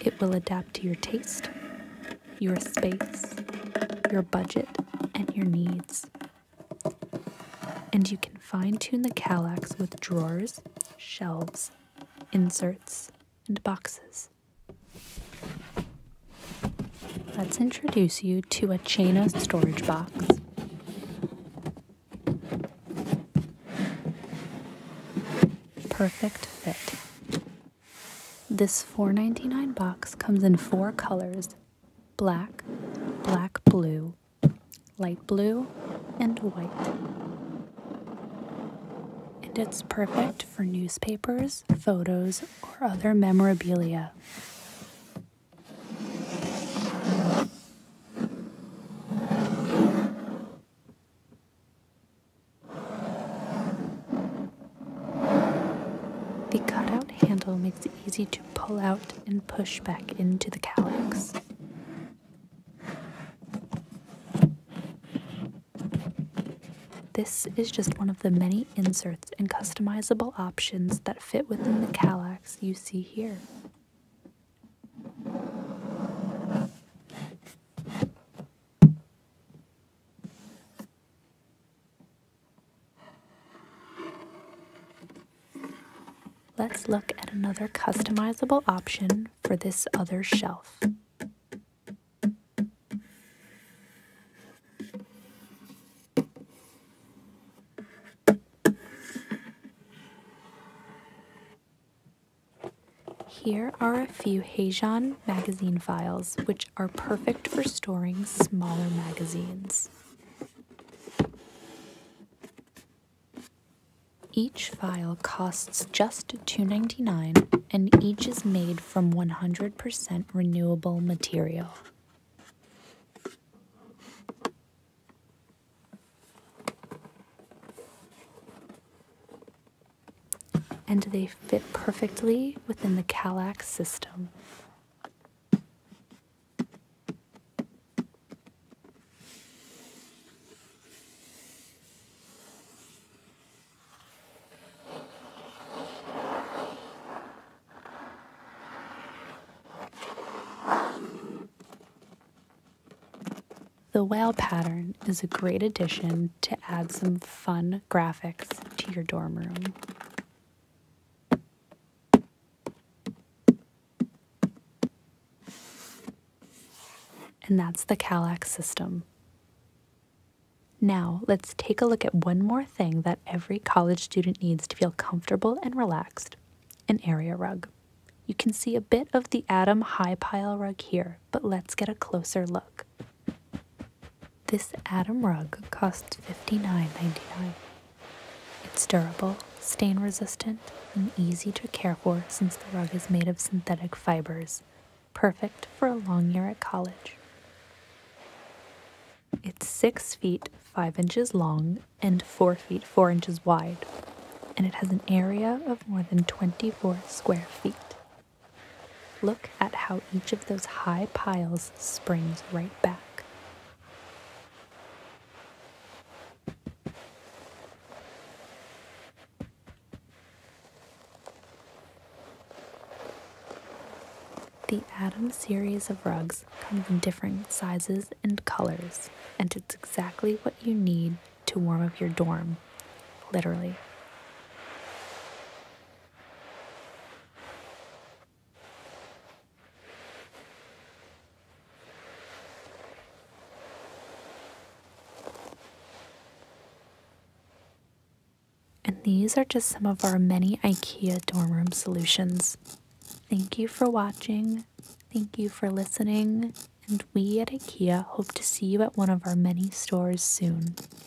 [SPEAKER 11] It will adapt to your taste, your space, your budget, and your needs. And you can fine tune the Kallax with drawers, shelves, inserts, and boxes. Let's introduce you to a Chaina storage box. Perfect fit. This 4.99 box comes in four colors black, black blue, light blue, and white. And it's perfect for newspapers, photos, or other memorabilia. The cutout handle makes it easy to pull out and push back into the calyx. This is just one of the many inserts and customizable options that fit within the calyx you see here. Let's look at another customizable option for this other shelf. Here are a few Heijan magazine files, which are perfect for storing smaller magazines. Each file costs just $2.99 and each is made from 100% renewable material and they fit perfectly within the Calac system. The whale pattern is a great addition to add some fun graphics to your dorm room. And that's the Calax system. Now, let's take a look at one more thing that every college student needs to feel comfortable and relaxed, an area rug. You can see a bit of the Adam High Pile rug here, but let's get a closer look. This Atom rug costs $59.99. It's durable, stain resistant, and easy to care for since the rug is made of synthetic fibers, perfect for a long year at college. It's 6 feet 5 inches long and 4 feet 4 inches wide, and it has an area of more than 24 square feet. Look at how each of those high piles springs right back. The Atom series of rugs comes in different sizes and colors, and it's exactly what you need to warm up your dorm, literally. And these are just some of our many IKEA dorm room solutions. Thank you for watching. Thank you for listening. And we at IKEA hope to see you at one of our many stores soon.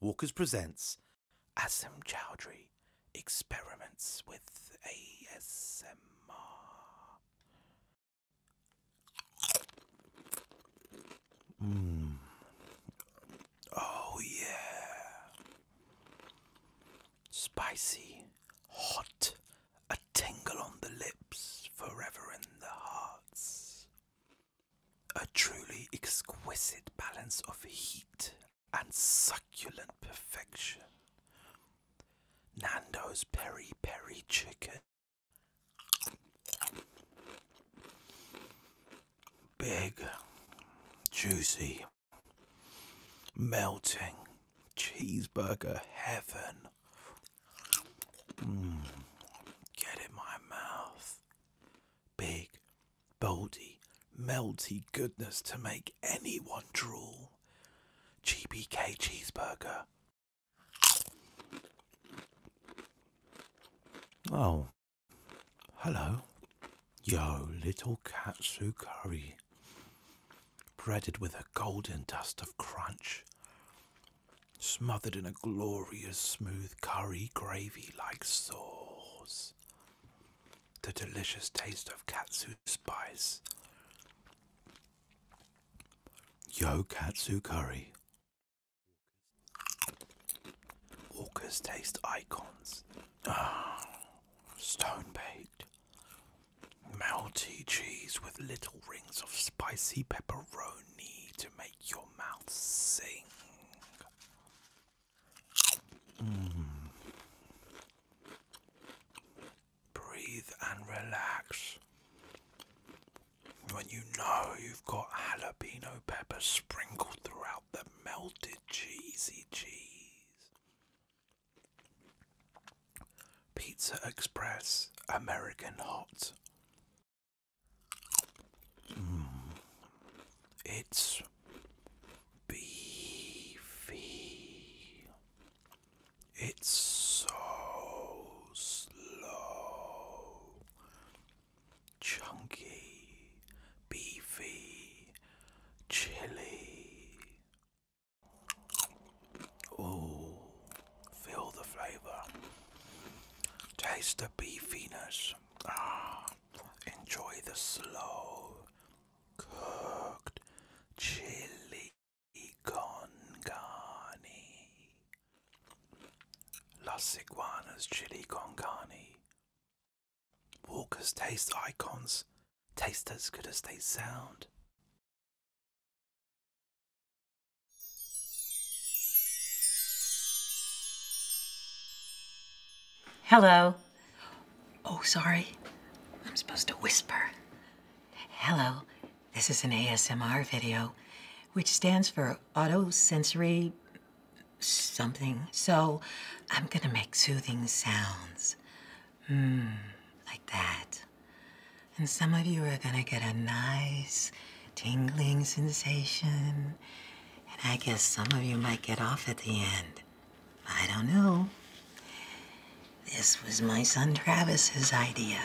[SPEAKER 6] Walkers presents Asim Chowdhury experiments with ASMR. Mm. Oh, yeah. Spicy, hot, a tingle on the lips, forever in the hearts. A truly exquisite balance of heat and succulent perfection. Nando's peri peri chicken. Big, juicy, melting cheeseburger heaven. Mm, get in my mouth. Big, boldy, melty goodness to make anyone drool. GBK cheeseburger. Oh, hello. Yo, little katsu curry. Breaded with a golden dust of crunch. Smothered in a glorious smooth curry gravy like sauce the delicious taste of katsu spice. Yo katsu curry. Walker's taste icons. Oh, stone baked. Melty cheese with little rings of spicy pepperoni to make your mouth sing. Mmm. Breathe and relax. When you know you've got jalapeno pepper sprinkled throughout the melted cheesy cheese. Pizza Express American Hot. Mm. It's beefy. It's so slow,
[SPEAKER 7] chunky, beefy, chili.
[SPEAKER 6] Oh, feel the flavor, taste the beefiness. Ah, enjoy the slow, cooked chili con carne. Las Iguanas chili con carne. Walkers taste icons taste as good as they sound.
[SPEAKER 13] Hello. Oh, sorry. I'm supposed to whisper. Hello, this is an ASMR video, which stands for auto sensory something. So I'm gonna make soothing sounds. Mmm, like that. And some of you are gonna get a nice tingling sensation. And I guess some of you might get off at the end. I don't know. This was my son Travis's idea.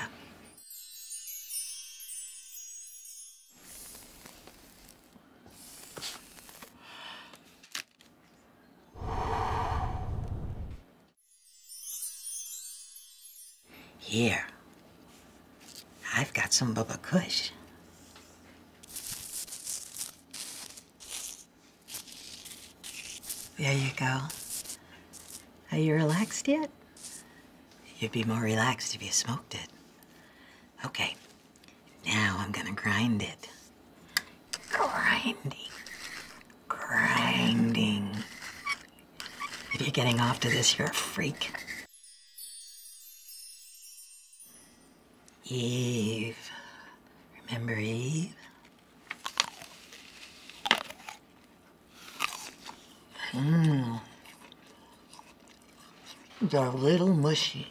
[SPEAKER 13] Here, I've got some Bubba Kush. There you go. Are you relaxed yet? You'd be more relaxed if you smoked it. Okay, now I'm gonna grind it. Grinding. Grinding. If you're getting off to this, you're a freak. Eve. Remember Eve? Mmm. They're a little mushy.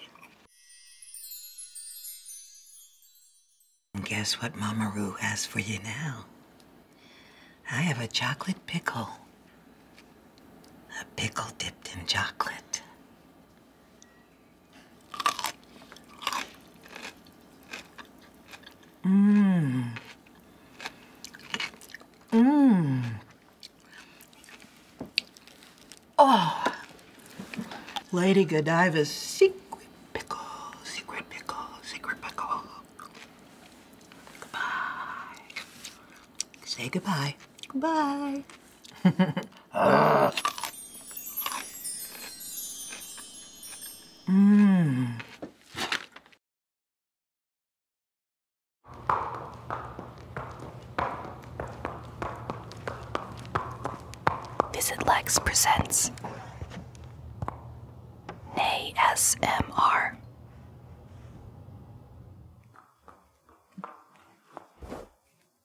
[SPEAKER 13] And guess what Mama Roo has for you now? I have a chocolate pickle. A pickle dipped in chocolate.
[SPEAKER 7] Mmm. Mmm. Oh. Lady
[SPEAKER 13] Godiva's secret pickle, secret pickle, secret pickle. Goodbye. Say goodbye. Goodbye. (laughs) Ah.
[SPEAKER 7] Mmm.
[SPEAKER 1] Visit Lex presents Nay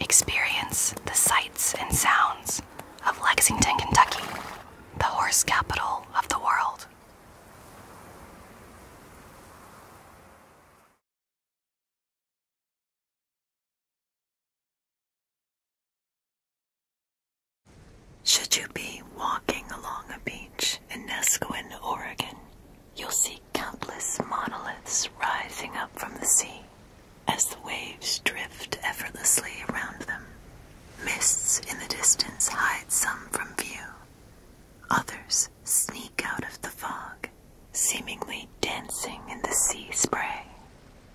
[SPEAKER 1] Experience the sights and sounds of Lexington, Kentucky, the
[SPEAKER 2] horse capital of the world. Should you be walking along a beach in Nesquin, Oregon, You'll see countless monoliths
[SPEAKER 1] rising up from the sea as the waves drift effortlessly around them. Mists in the distance hide some from view. Others sneak out of the fog, seemingly dancing in the sea spray.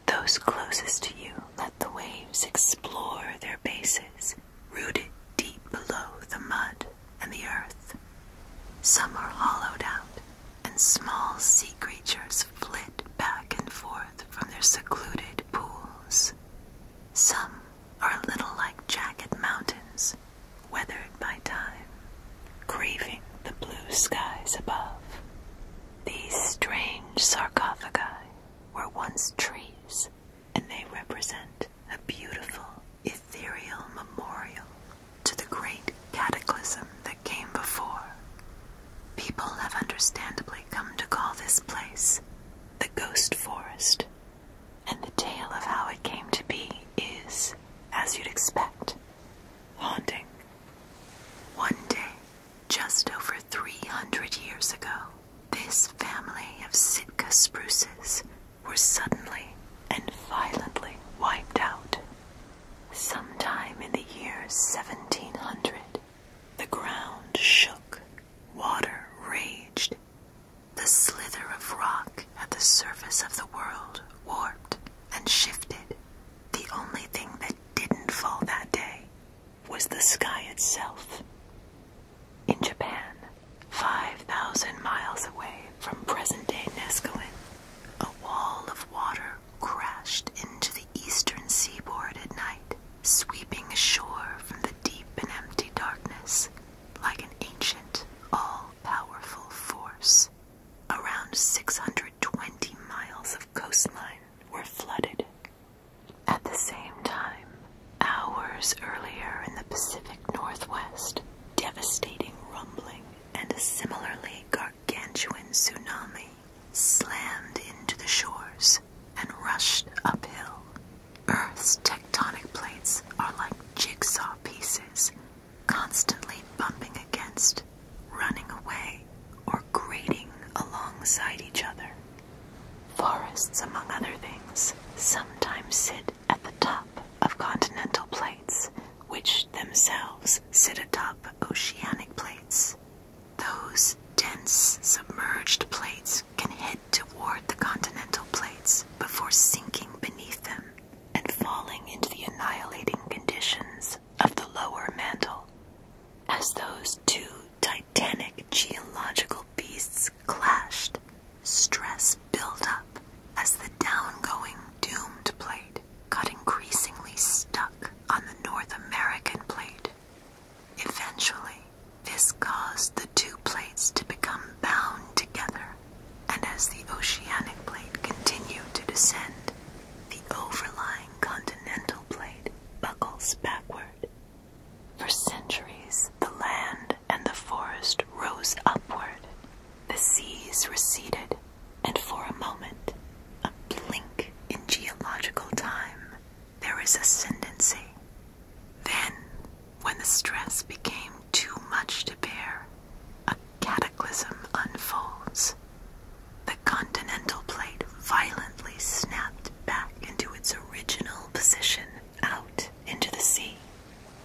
[SPEAKER 1] Those closest to you let the waves explore their bases, rooted deep below the mud and the earth. Some are hollowed out, and small sea creatures flit back and forth from their secluded pools. Some are a little like jagged mountains, weathered by time, craving the blue skies above. These strange sarcophagi were once trees, and they represent a beautiful ethereal memorial to the great cataclysm that came before. People have understandably come to call this place the Ghost Forest, and the tale of how it came to be is, as you'd expect, haunting. One day, just over 300 years ago, this family of Sitka spruces were suddenly and violently wiped out. Sometime in the year 1700, the ground shook, water raged, the slither of rock at the surface of the world warped and shifted. The only thing that didn't fall that day was the sky itself. In Japan, 5,000 miles away, from present day Neskowin, a wall of water crashed into the eastern seaboard at night, sweeping ashore from the deep and empty darkness like an ancient, all powerful force. Around 620 miles of coastline were flooded. At the same time, hours earlier in the Pacific Northwest, devastating rumbling and a similarly gargantuan tsunami slammed into the shores and rushed uphill. Earth's tectonic plates are like jigsaw pieces, constantly bumping against, running away, or grating alongside each other. Forests, among other things, sometimes sit at the top of continental plates, which themselves sit atop oceanic plates. Those dense submerged plates can head toward the continental plates before sinking beneath them and falling into the annihilating conditions
[SPEAKER 7] of the lower mantle. As those two titanic
[SPEAKER 1] geological beasts clashed, stress pressures build up as the downgoing doomed plate got increasingly stuck on the North American plate. Eventually, this caused the two plates to become bound together, and as the oceanic plate continued to descend, the overlying continental plate buckles backward. For centuries, the land and the forest rose upward. The seas receded, and for a moment, a blink in geological time, there is ascendancy. Then, when the stress became too much to bear, a cataclysm unfolds. The continental plate violently snapped back into its original position out into the sea.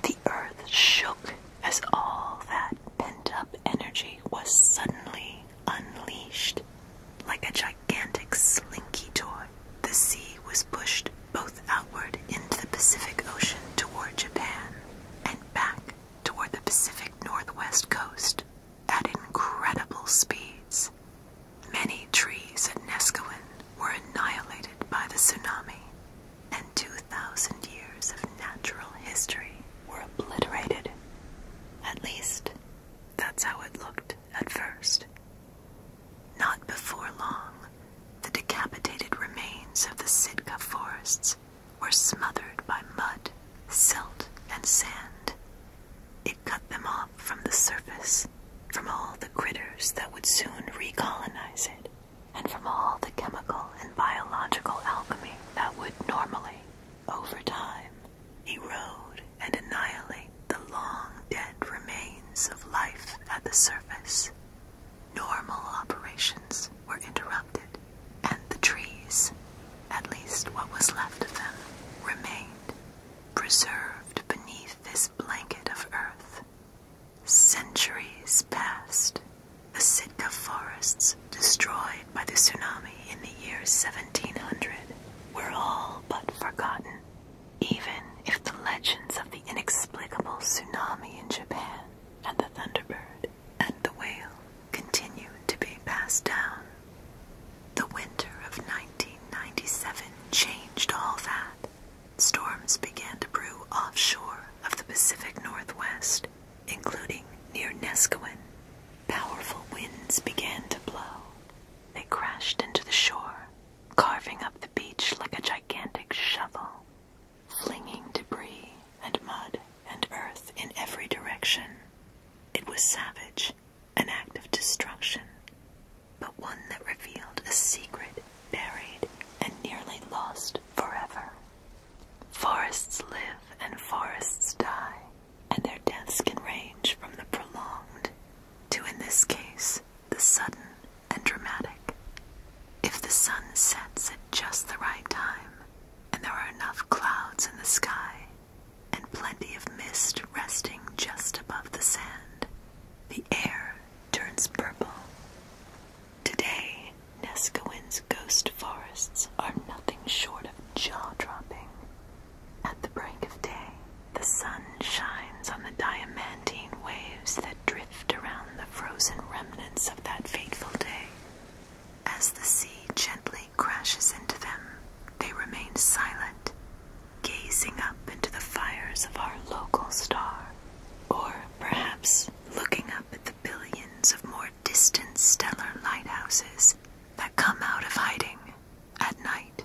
[SPEAKER 1] The earth shook as all that that pent up energy was suddenly unleashed. Like a gigantic slinky toy, the sea was pushed both outward into the Pacific Ocean toward Japan and back toward the Pacific Northwest coast at incredible speeds. Many trees at Neskowin were annihilated by the tsunami, and 2,000 years of natural history were obliterated. At least, that's how it looked at first. Not before long, the decapitated remains of the Sitka forests were smothered by mud, silt, and sand. It cut them off from the surface, from all the critters that would soon recolonize it and from all the chemical and biological alchemy that would normally, over time, erode and annihilate the long dead remains of life at the surface. Normal operations were interrupted, and the trees, at least what was left of them, remained, preserved beneath this blanket of earth. Centuries past, The Sitka forests, destroyed by the tsunami in the year 1700, were all but forgotten. Even if the legends of the inexplicable tsunami in Japan and the Thunderbird and the whale continued to be passed down. The winter of 1997 changed all that. Storms began to brew offshore of the Pacific Northwest including near Neskowin. Powerful winds began to blow. They crashed into the shore, carving up the beach like a gigantic shovel, flinging debris and mud and earth in every direction. It was savage, an act of destruction, but one that revealed a secret buried and nearly lost forever. Forests live and forests die, and their deaths can range from the prolonged to, in this case, the sudden and dramatic. If the sun sets at just the right time, and there are enough clouds in the sky, and plenty of mist resting just above the sand, the air turns purple. Today, Neskowin's ghost forests are nothing short of jaw-dropping. At the break of day, the sun shines on the diamantine waves that drift around the frozen remnants of that fateful day. As the sea gently crashes into them, they remain silent, gazing up into the fires of our local star, or perhaps looking up at the billions of more distant stellar lighthouses that come out of hiding at night.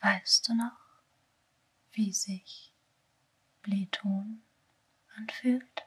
[SPEAKER 9] Weißt du noch, wie sich Bleton anfühlt?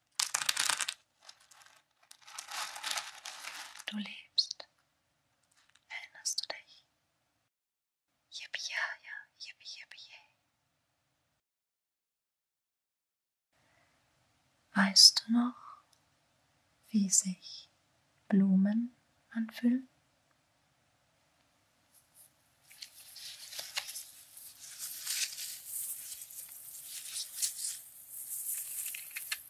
[SPEAKER 14] Du lebst. Erinnerst du dich? Yippie, ja, ja,
[SPEAKER 2] yippie, yippie, yay. Weißt
[SPEAKER 9] du noch, wie sich Blumen anfühlen?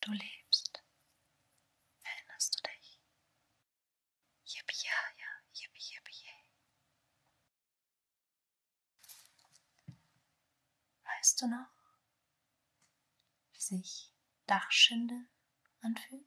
[SPEAKER 14] Du lebst. Erinnerst du dich?
[SPEAKER 2] Yippie, ja, ja, yippie, yippie, yay.
[SPEAKER 9] Weißt du noch, wie sich Dachschinde anfühlen?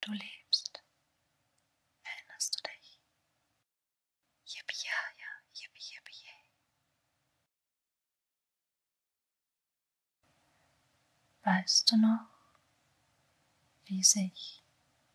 [SPEAKER 14] Du lebst. Erinnerst du dich? Yippie, ja, ja, yippie,
[SPEAKER 2] yippie, yay. Weißt du
[SPEAKER 9] noch, wie sich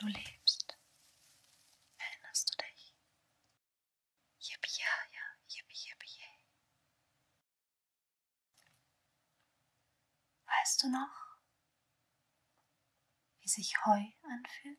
[SPEAKER 14] Du lebst. Erinnerst du dich? Yippie, ja, ja,
[SPEAKER 9] yippie, yippie, yay. Weißt du noch, wie sich Heu
[SPEAKER 14] anfühlt?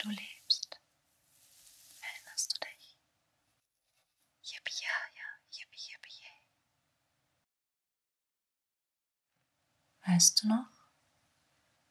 [SPEAKER 14] Du lebst. Erinnerst
[SPEAKER 2] du dich? Yippie, ja, ja, yippie, yippie, yay.
[SPEAKER 9] Weißt du noch,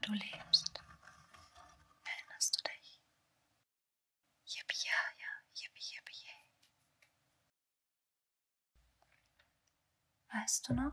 [SPEAKER 2] Du lebst. Erinnerst du dich? Yippie, ja, ja, yippie, yippie,
[SPEAKER 9] Weißt du noch,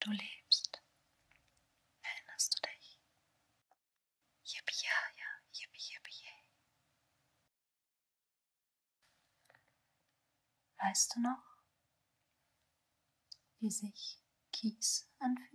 [SPEAKER 14] Du lebst. Erinnerst du dich? Yippie, ja, ja,
[SPEAKER 9] yippie, yippie, yay. Weißt du noch, wie sich Kies anfühlt?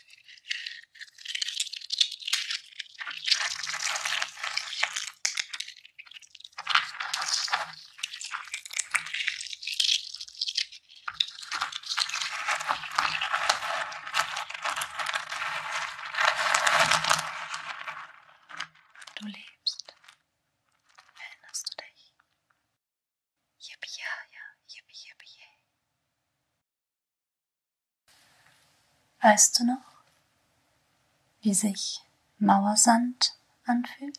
[SPEAKER 14] Du lebst. Erinnerst
[SPEAKER 2] du dich? Yippie, ja, ja, yippie, yippie, yay.
[SPEAKER 9] Weißt du noch, wie sich Mauersand anfühlt?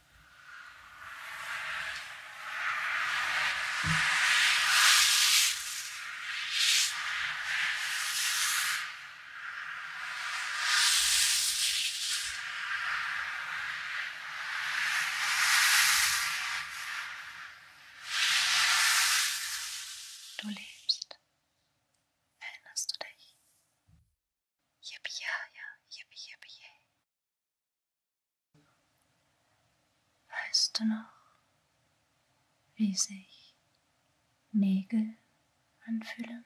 [SPEAKER 14] Du lebst. Erinnerst du dich? Yippie, ja,
[SPEAKER 9] ja, yippie, yippie, yay. Weißt du noch, wie sich Nägel anfühlen?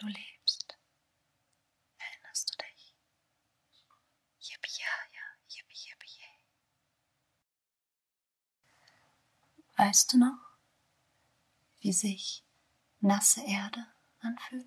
[SPEAKER 9] Du lebst. Erinnerst du dich? Yippie, ja, ja, yippie, yippie, yay. Weißt du noch, wie sich nasse Erde anfühlt?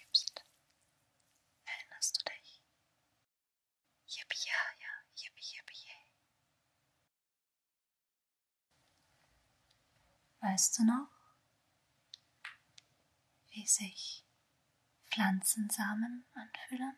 [SPEAKER 14] lebst. Erinnerst du dich? Yippie, ja, ja,
[SPEAKER 9] yippie, yippie, yay. Weißt du noch, wie sich Pflanzensamen anfühlen?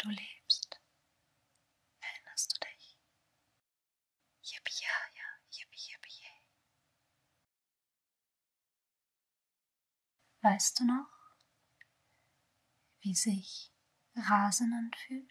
[SPEAKER 14] Du lebst.
[SPEAKER 7] Erinnerst du dich?
[SPEAKER 2] Yippie, ja, ja, yippie, yippie, yay.
[SPEAKER 9] Weißt du noch, wie sich Rasen anfühlt?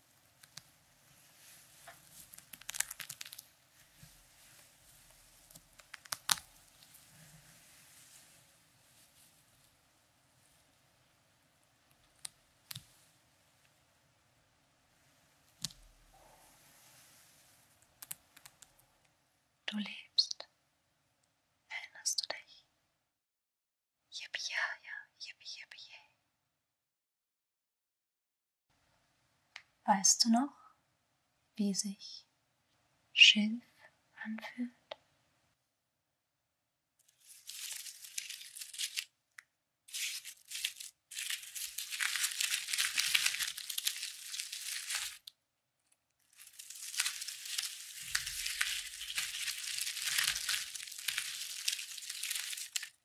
[SPEAKER 14] Du lebst. Erinnerst
[SPEAKER 2] du dich? Yippie, ja, ja, yippie, yippie, yay.
[SPEAKER 9] Weißt du noch, wie sich Schilf anfühlt?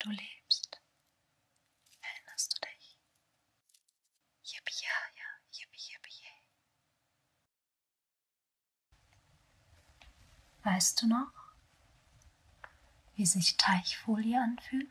[SPEAKER 2] Du lebst. Erinnerst du dich? Yippie, ja, ja, yippie, yippie,
[SPEAKER 9] yay. Weißt du noch, wie sich Teichfolie anfühlt?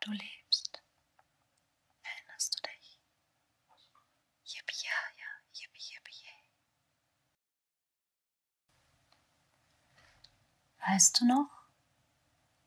[SPEAKER 14] Du lebst. Erinnerst
[SPEAKER 2] du dich? Yippie, ja, ja, yippie, yippie,
[SPEAKER 9] Weißt du noch,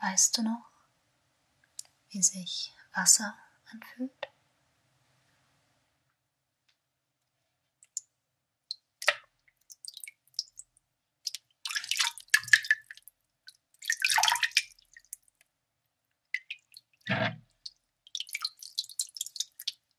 [SPEAKER 9] Weißt du noch, wie sich Wasser anfühlt?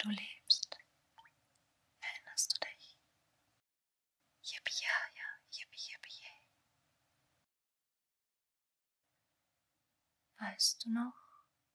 [SPEAKER 14] Du lebst. Erinnerst du dich? Yippie, ja, ja,
[SPEAKER 9] yippie, yippie, yay. Weißt du noch,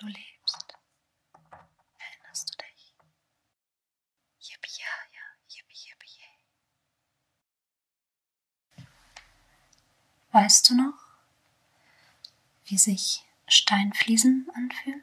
[SPEAKER 14] Du lebst. Erinnerst
[SPEAKER 2] du dich? Yippie, ja, ja, yippie, yippie,
[SPEAKER 9] yay. Weißt du noch, wie sich Steinfliesen anfühlen?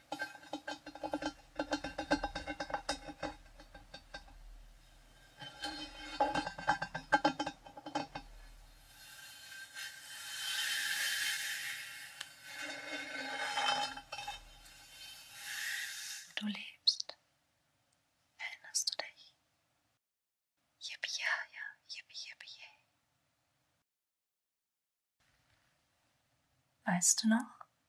[SPEAKER 14] du lebst. Erinnerst
[SPEAKER 2] du dich? Yippie, ja, ja, yippie, yippie, yay.
[SPEAKER 9] Weißt du noch,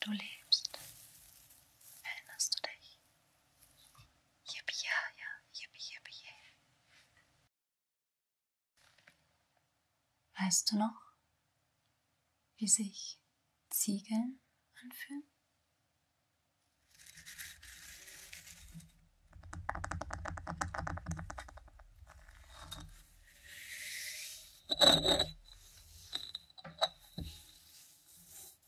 [SPEAKER 14] Du lebst. Erinnerst
[SPEAKER 2] du dich? Yippie, ja, ja, yippie, yippie, yeah.
[SPEAKER 9] Weißt du noch, wie sich Ziegeln
[SPEAKER 14] anfühlen?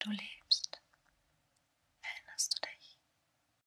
[SPEAKER 14] Du lebst. Erinnerst
[SPEAKER 2] du dich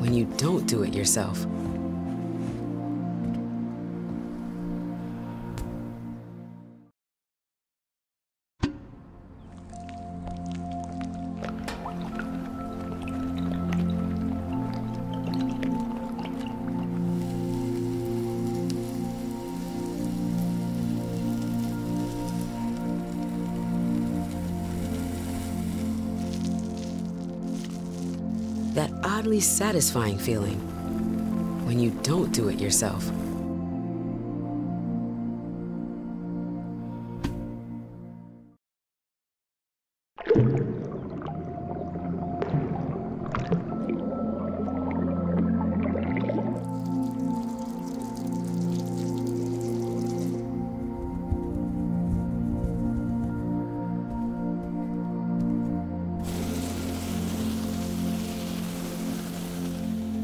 [SPEAKER 13] when you don't do it yourself. That oddly satisfying feeling when you don't do it yourself.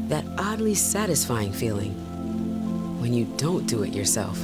[SPEAKER 13] That oddly satisfying feeling when you don't do it yourself.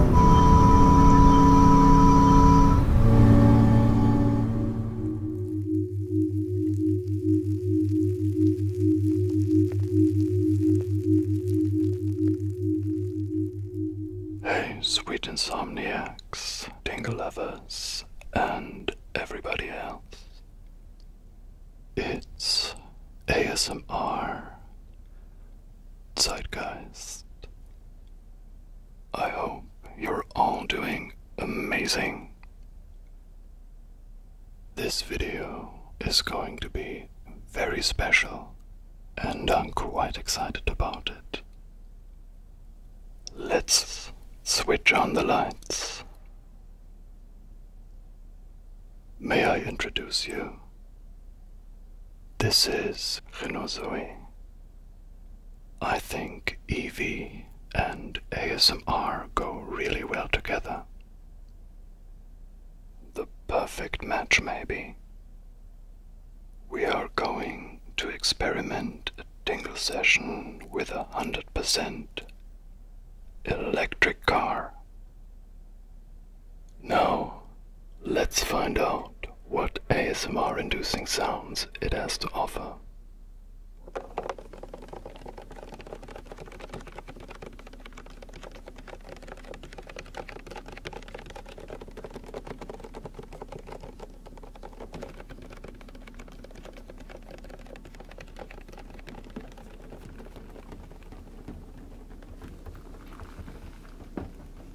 [SPEAKER 12] Hey, sweet insomniacs, tingle lovers, and everybody else. It's ASMR Zeitgeist. I hope you're all doing amazing. This video is going to be very special, and I'm quite excited about it. Let's switch on the lights. May I introduce you this is Renozoe. I think EV and ASMR go really well together. The perfect match, maybe. We are going to experiment a tingle session with a hundred percent electric car. Now, let's find out what ASMR inducing sounds it has to offer.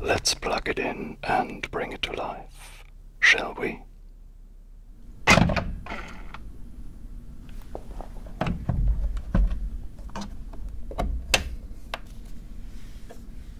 [SPEAKER 12] Let's plug it in and bring it to life, shall we?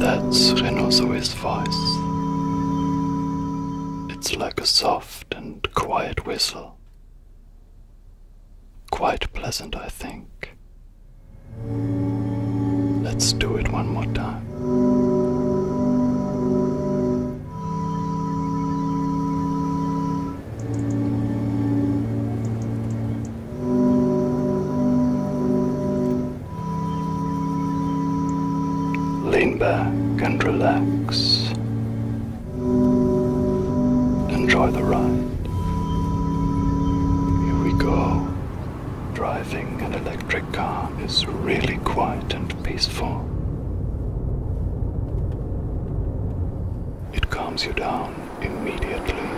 [SPEAKER 12] That's Rhinoceros' voice. It's like a soft and quiet whistle. Quite pleasant, I think. Let's do it one more time. Lean back and relax. Enjoy the ride. Here we go. Driving an electric car is really quiet and peaceful. It calms you down immediately.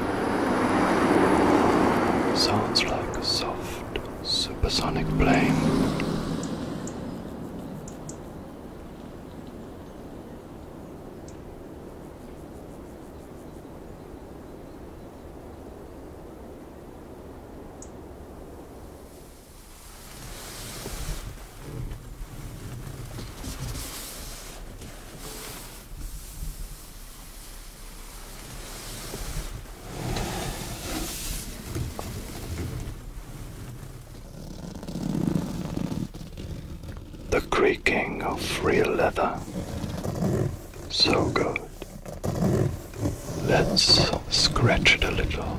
[SPEAKER 12] Sounds like a soft supersonic plane. The creaking of real leather. So good. Let's scratch it a little.